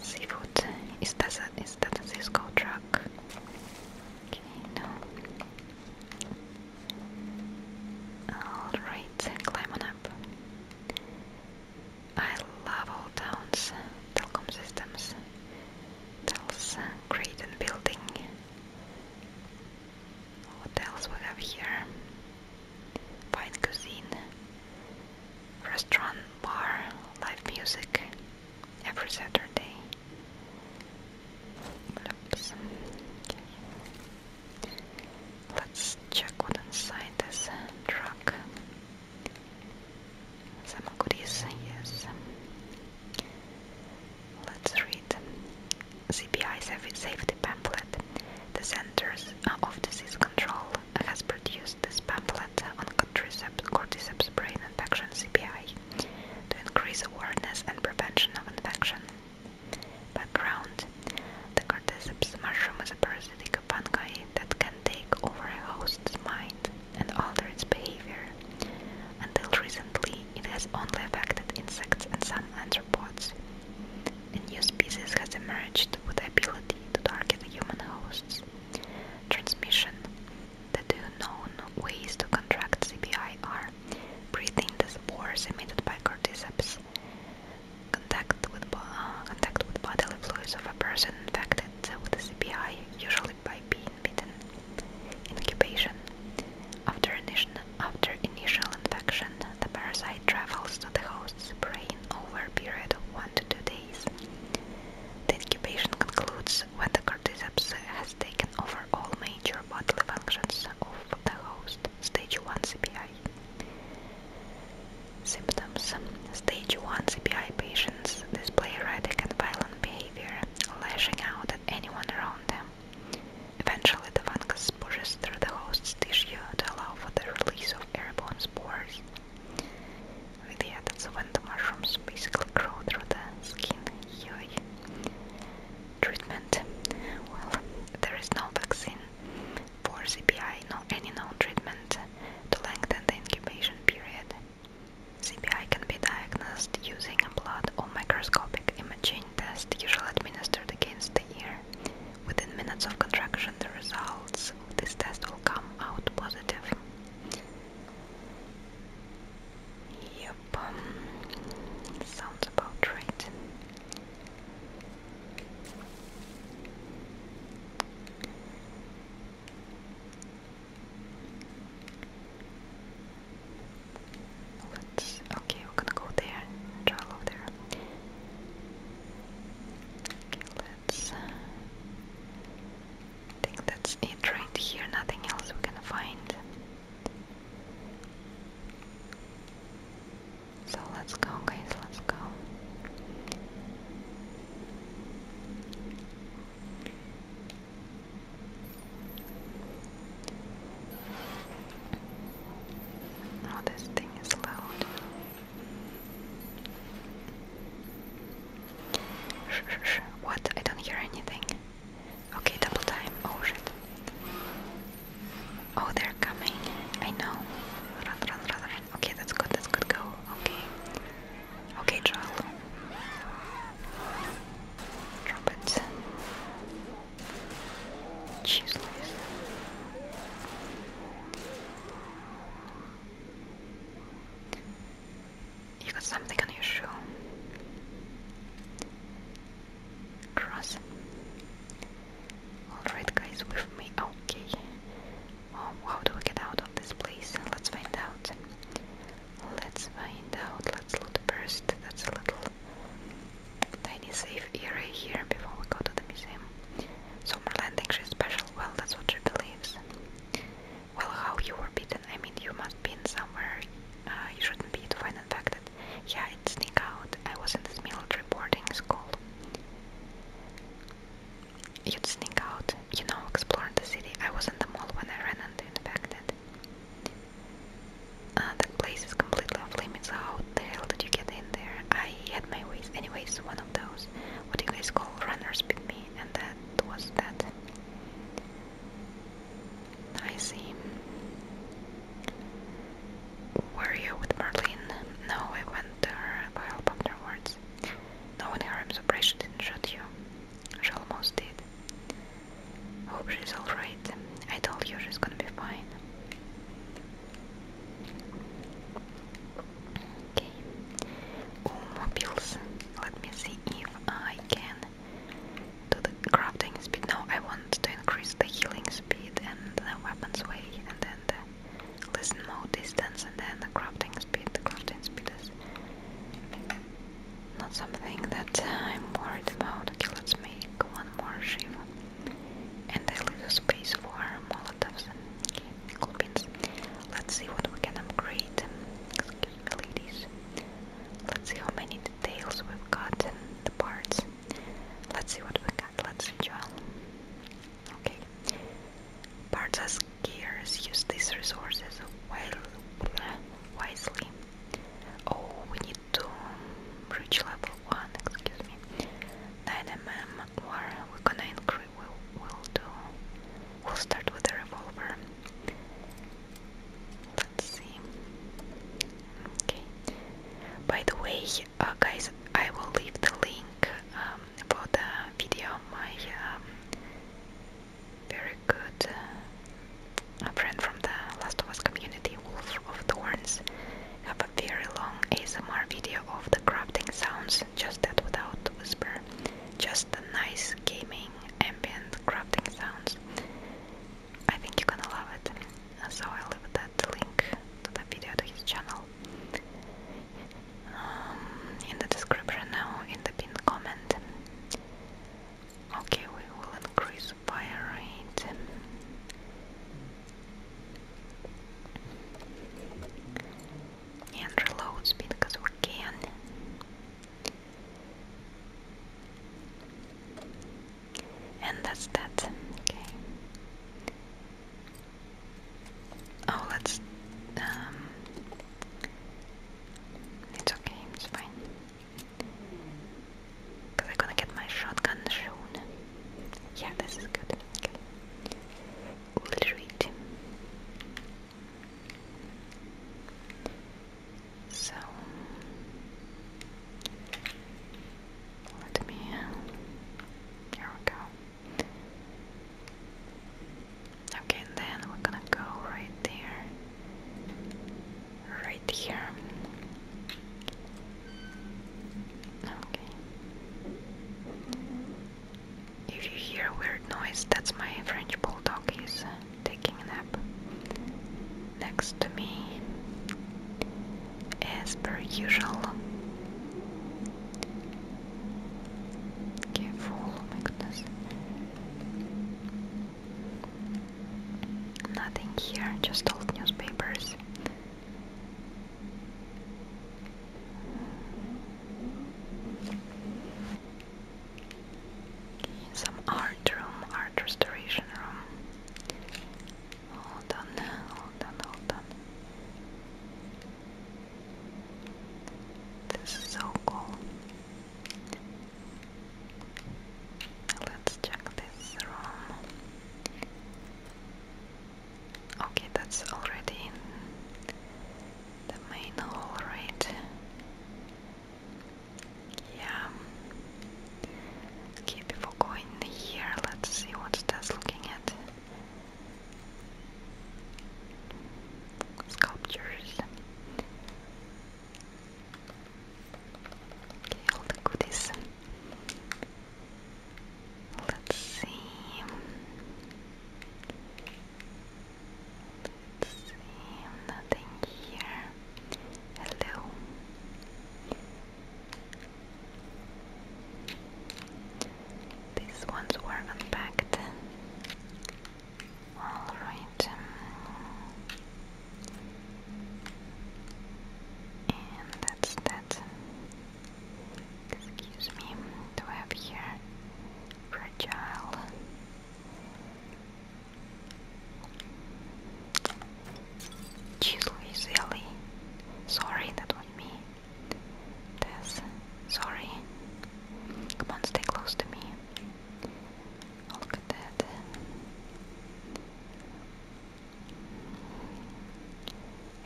Seafood. Is that a, is that a Cisco truck? Okay, no. Alright, climb on up. I love all towns, telecom systems, tells great and building. What else we have here? fine cuisine, restaurant, bar, live music every Saturday. Oops. Okay. Let's check what's inside this truck. Some goodies, yes. Let's read CPI safety the Centers uh, of Disease Control has produced this pamphlet on cordyceps, brain infection (CBI) to increase awareness and prevention of infection. Background: The cordyceps mushroom is a parasitic fungi that can take over a host's mind and alter its behavior. Until recently, it has only affected insects and some arthropods. A new species has emerged with the ability to target human hosts. Transmission. The two known ways to contract CBI are breathing the spores emitted by corticeps, uh, contact with, bodily fluids of a person infected with the CBI, usually by being bitten. Incubation. after initial infection, the parasite travels to the host spraying over a period of 1 to 2 days. The incubation concludes when the cordyceps has taken over all major bodily functions of the host, stage 1 CPI. Symptoms Stage 1 CPI patients display erratic and violent behavior, lashing out at anyone around them. Eventually the fungus pushes through the host's tissue to allow for the release of airborne spores. With when the mushrooms basically grow through the skin. Treatment. Well, there is no vaccine for CPI, no any known treatment to lengthen the incubation period. CPI can be diagnosed using a blood or microscopic imaging test usually administered against the ear. Within minutes of contraction, the results of this test will come out positive. Yep, sounds about right. Let's okay, we're gonna go there, drill over there. Okay, let's. Uh, I think that's it right here. Nothing else we can find. So let's go, guys. Let's go. Oh, this thing is loud. Shh, shh, shh. What? I don't hear anything. Okay, double time. Oh shit. Oh, they're coming. I know. Run, run, run, run. Okay, that's good. That's good. Go. Okay. Okay, Joel. Drop it. Jeez, nice. You got something on your shoe. Cross. Alright guys, with me. Okay. Oh, how do we get out of this place? Let's find out. Let's find out. Let's loot first. That's a little tiny safe area here before we go to the museum. Summerland thinks she's special, well, that's what she believes. Well, how you were bitten? I mean, you must be in somewhere uh, you shouldn't be to find infected. Yeah, it sneak out. I was in this military boarding school. You'd sneak out, you know, explore the city. I was in the mall when I ran into infected. Uh, that place is completely off limits. Out the hell did you get in there? I had my ways. Anyways, one of those, what do you guys call runners beat me, and that was that. I see. Were you with Merlin? No, I went there her help afterwards. No one here, I'm surprised she didn't shoot you. She almost did. Hope she's alright. I told you she's gonna be fine. Okay. Mobiles. Let me see if I can do the crafting speed. No, I want to increase the healing speed and the weapons weight, and then the listen distance, and then the crafting speed. The crafting speed is not something that I'm worried about. Okay, let's make one more Shiva. And I leave space for Molotovs. Let's see what we can upgrade. Excuse ladies. Let's see how many details we've got in the parts. Let's see what we got. Let's enjoy. Okay. Parts as gears. Use these resources while wisely. Oh, we need to reach level 1. Excuse me. 9 or we're gonna increase. We'll, do. We'll start with the revolver. Let's see. Okay. By the way, uh, guys, I will leave the link um, for the video. My um, very good uh, friend from the Last of Us community, Wolf of Thorns, have a very long ASMR video of the crafting sounds, just that without whisper, just the nice gaming ambient crafting sounds. I think you're gonna love it, uh, so I'll leave that link to the video to his channel um, in the description now, in the pinned comment. Okay, we will increase fire rate. And reload speed because we can. And that's that. Okay. Oh, let's. Um, it's okay, it's fine. Because I'm gonna get my shotgun soon. Yeah, this is good. Okay. Ulrich. So let me. Here we go. Okay, and then we're gonna go right there, right here, Okay. If you hear weird noise, that's my French bulldog. He's taking a nap next to me, as per usual. Careful, oh my Nothing here, just old newspapers. Some art room, art restoration room. Hold on, hold on, hold on. This is so cool. Let's check this room. Okay, that's already in the main hall, right? Yeah. Okay, before going here, let's see what that's looking at. Sculptures. Okay, all the goodies. Let's see. Nothing here. Hello. These ones were unpacked. All right. Um, and that's that. Excuse me, do I have here fragile? Chisel is Sorry, that was me. This, sorry. Come on, stay close to me. look at that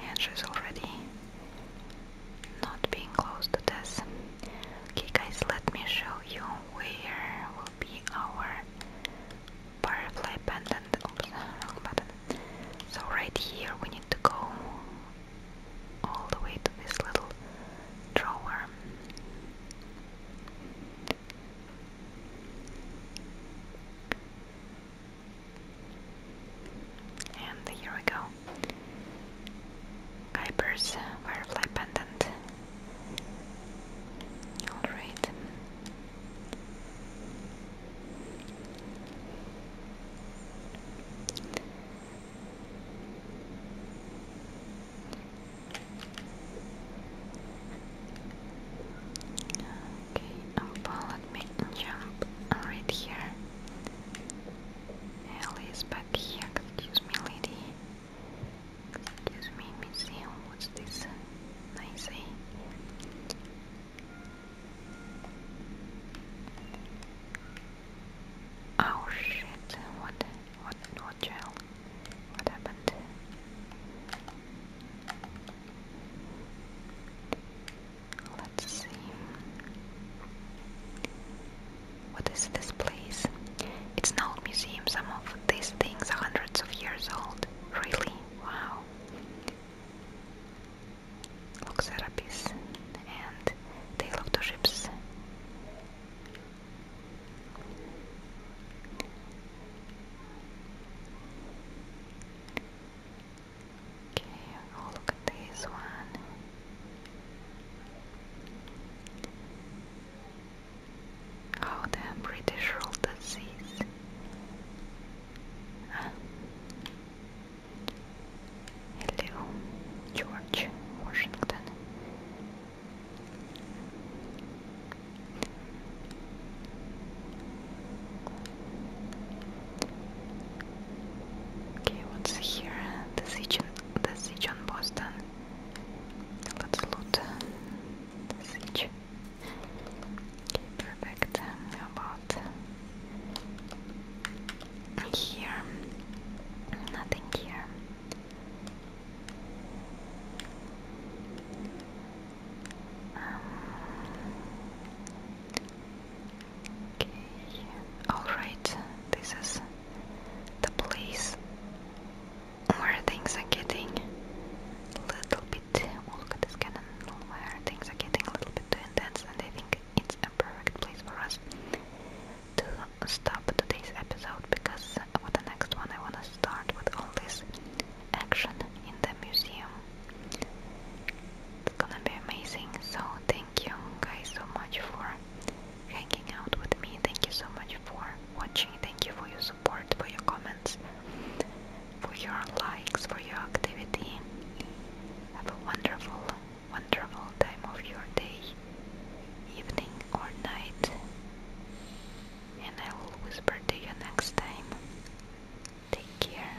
and she's already not being close to this. Okay guys, let me show you where will be our butterfly pendant. Oops, wrong button. So right here we need to go all the way to this little drawer. And here we go. Kuiper's Firefly Pendant. Alright. Okay, well um, let me jump right here. Ellie back here, excuse me lady. Excuse me, museum, what's this? Nice, eh? Oh shit, what, what, what gel? What happened? Let's see. What is this place? It's an old museum. Some of these things are hundreds of years old. Really? Wow. Looks and Tale of Ships. Okay, oh look at this one. How oh, the British ruled the seas. Ah. Hello, George Washington. Okay, what's here? The siege, the siege on Boston. Let's loot the Okay, perfect. about here? Nothing here. Um, Okay. Alright, this is the place where things are getting a little bit. Oh, look at this cannon. Where things are getting a little bit too intense, and I think it's a perfect place for us to stop today's episode because for the next one I want to start with all this action in the museum it's gonna be amazing. So, thank you guys so much for hanging out with me. Thank you so much for watching. Thank you for your support, for your comments, for your likes, for your activity. Have a wonderful, wonderful time of your day, evening, or night. And I will whisper to you next time. Take care.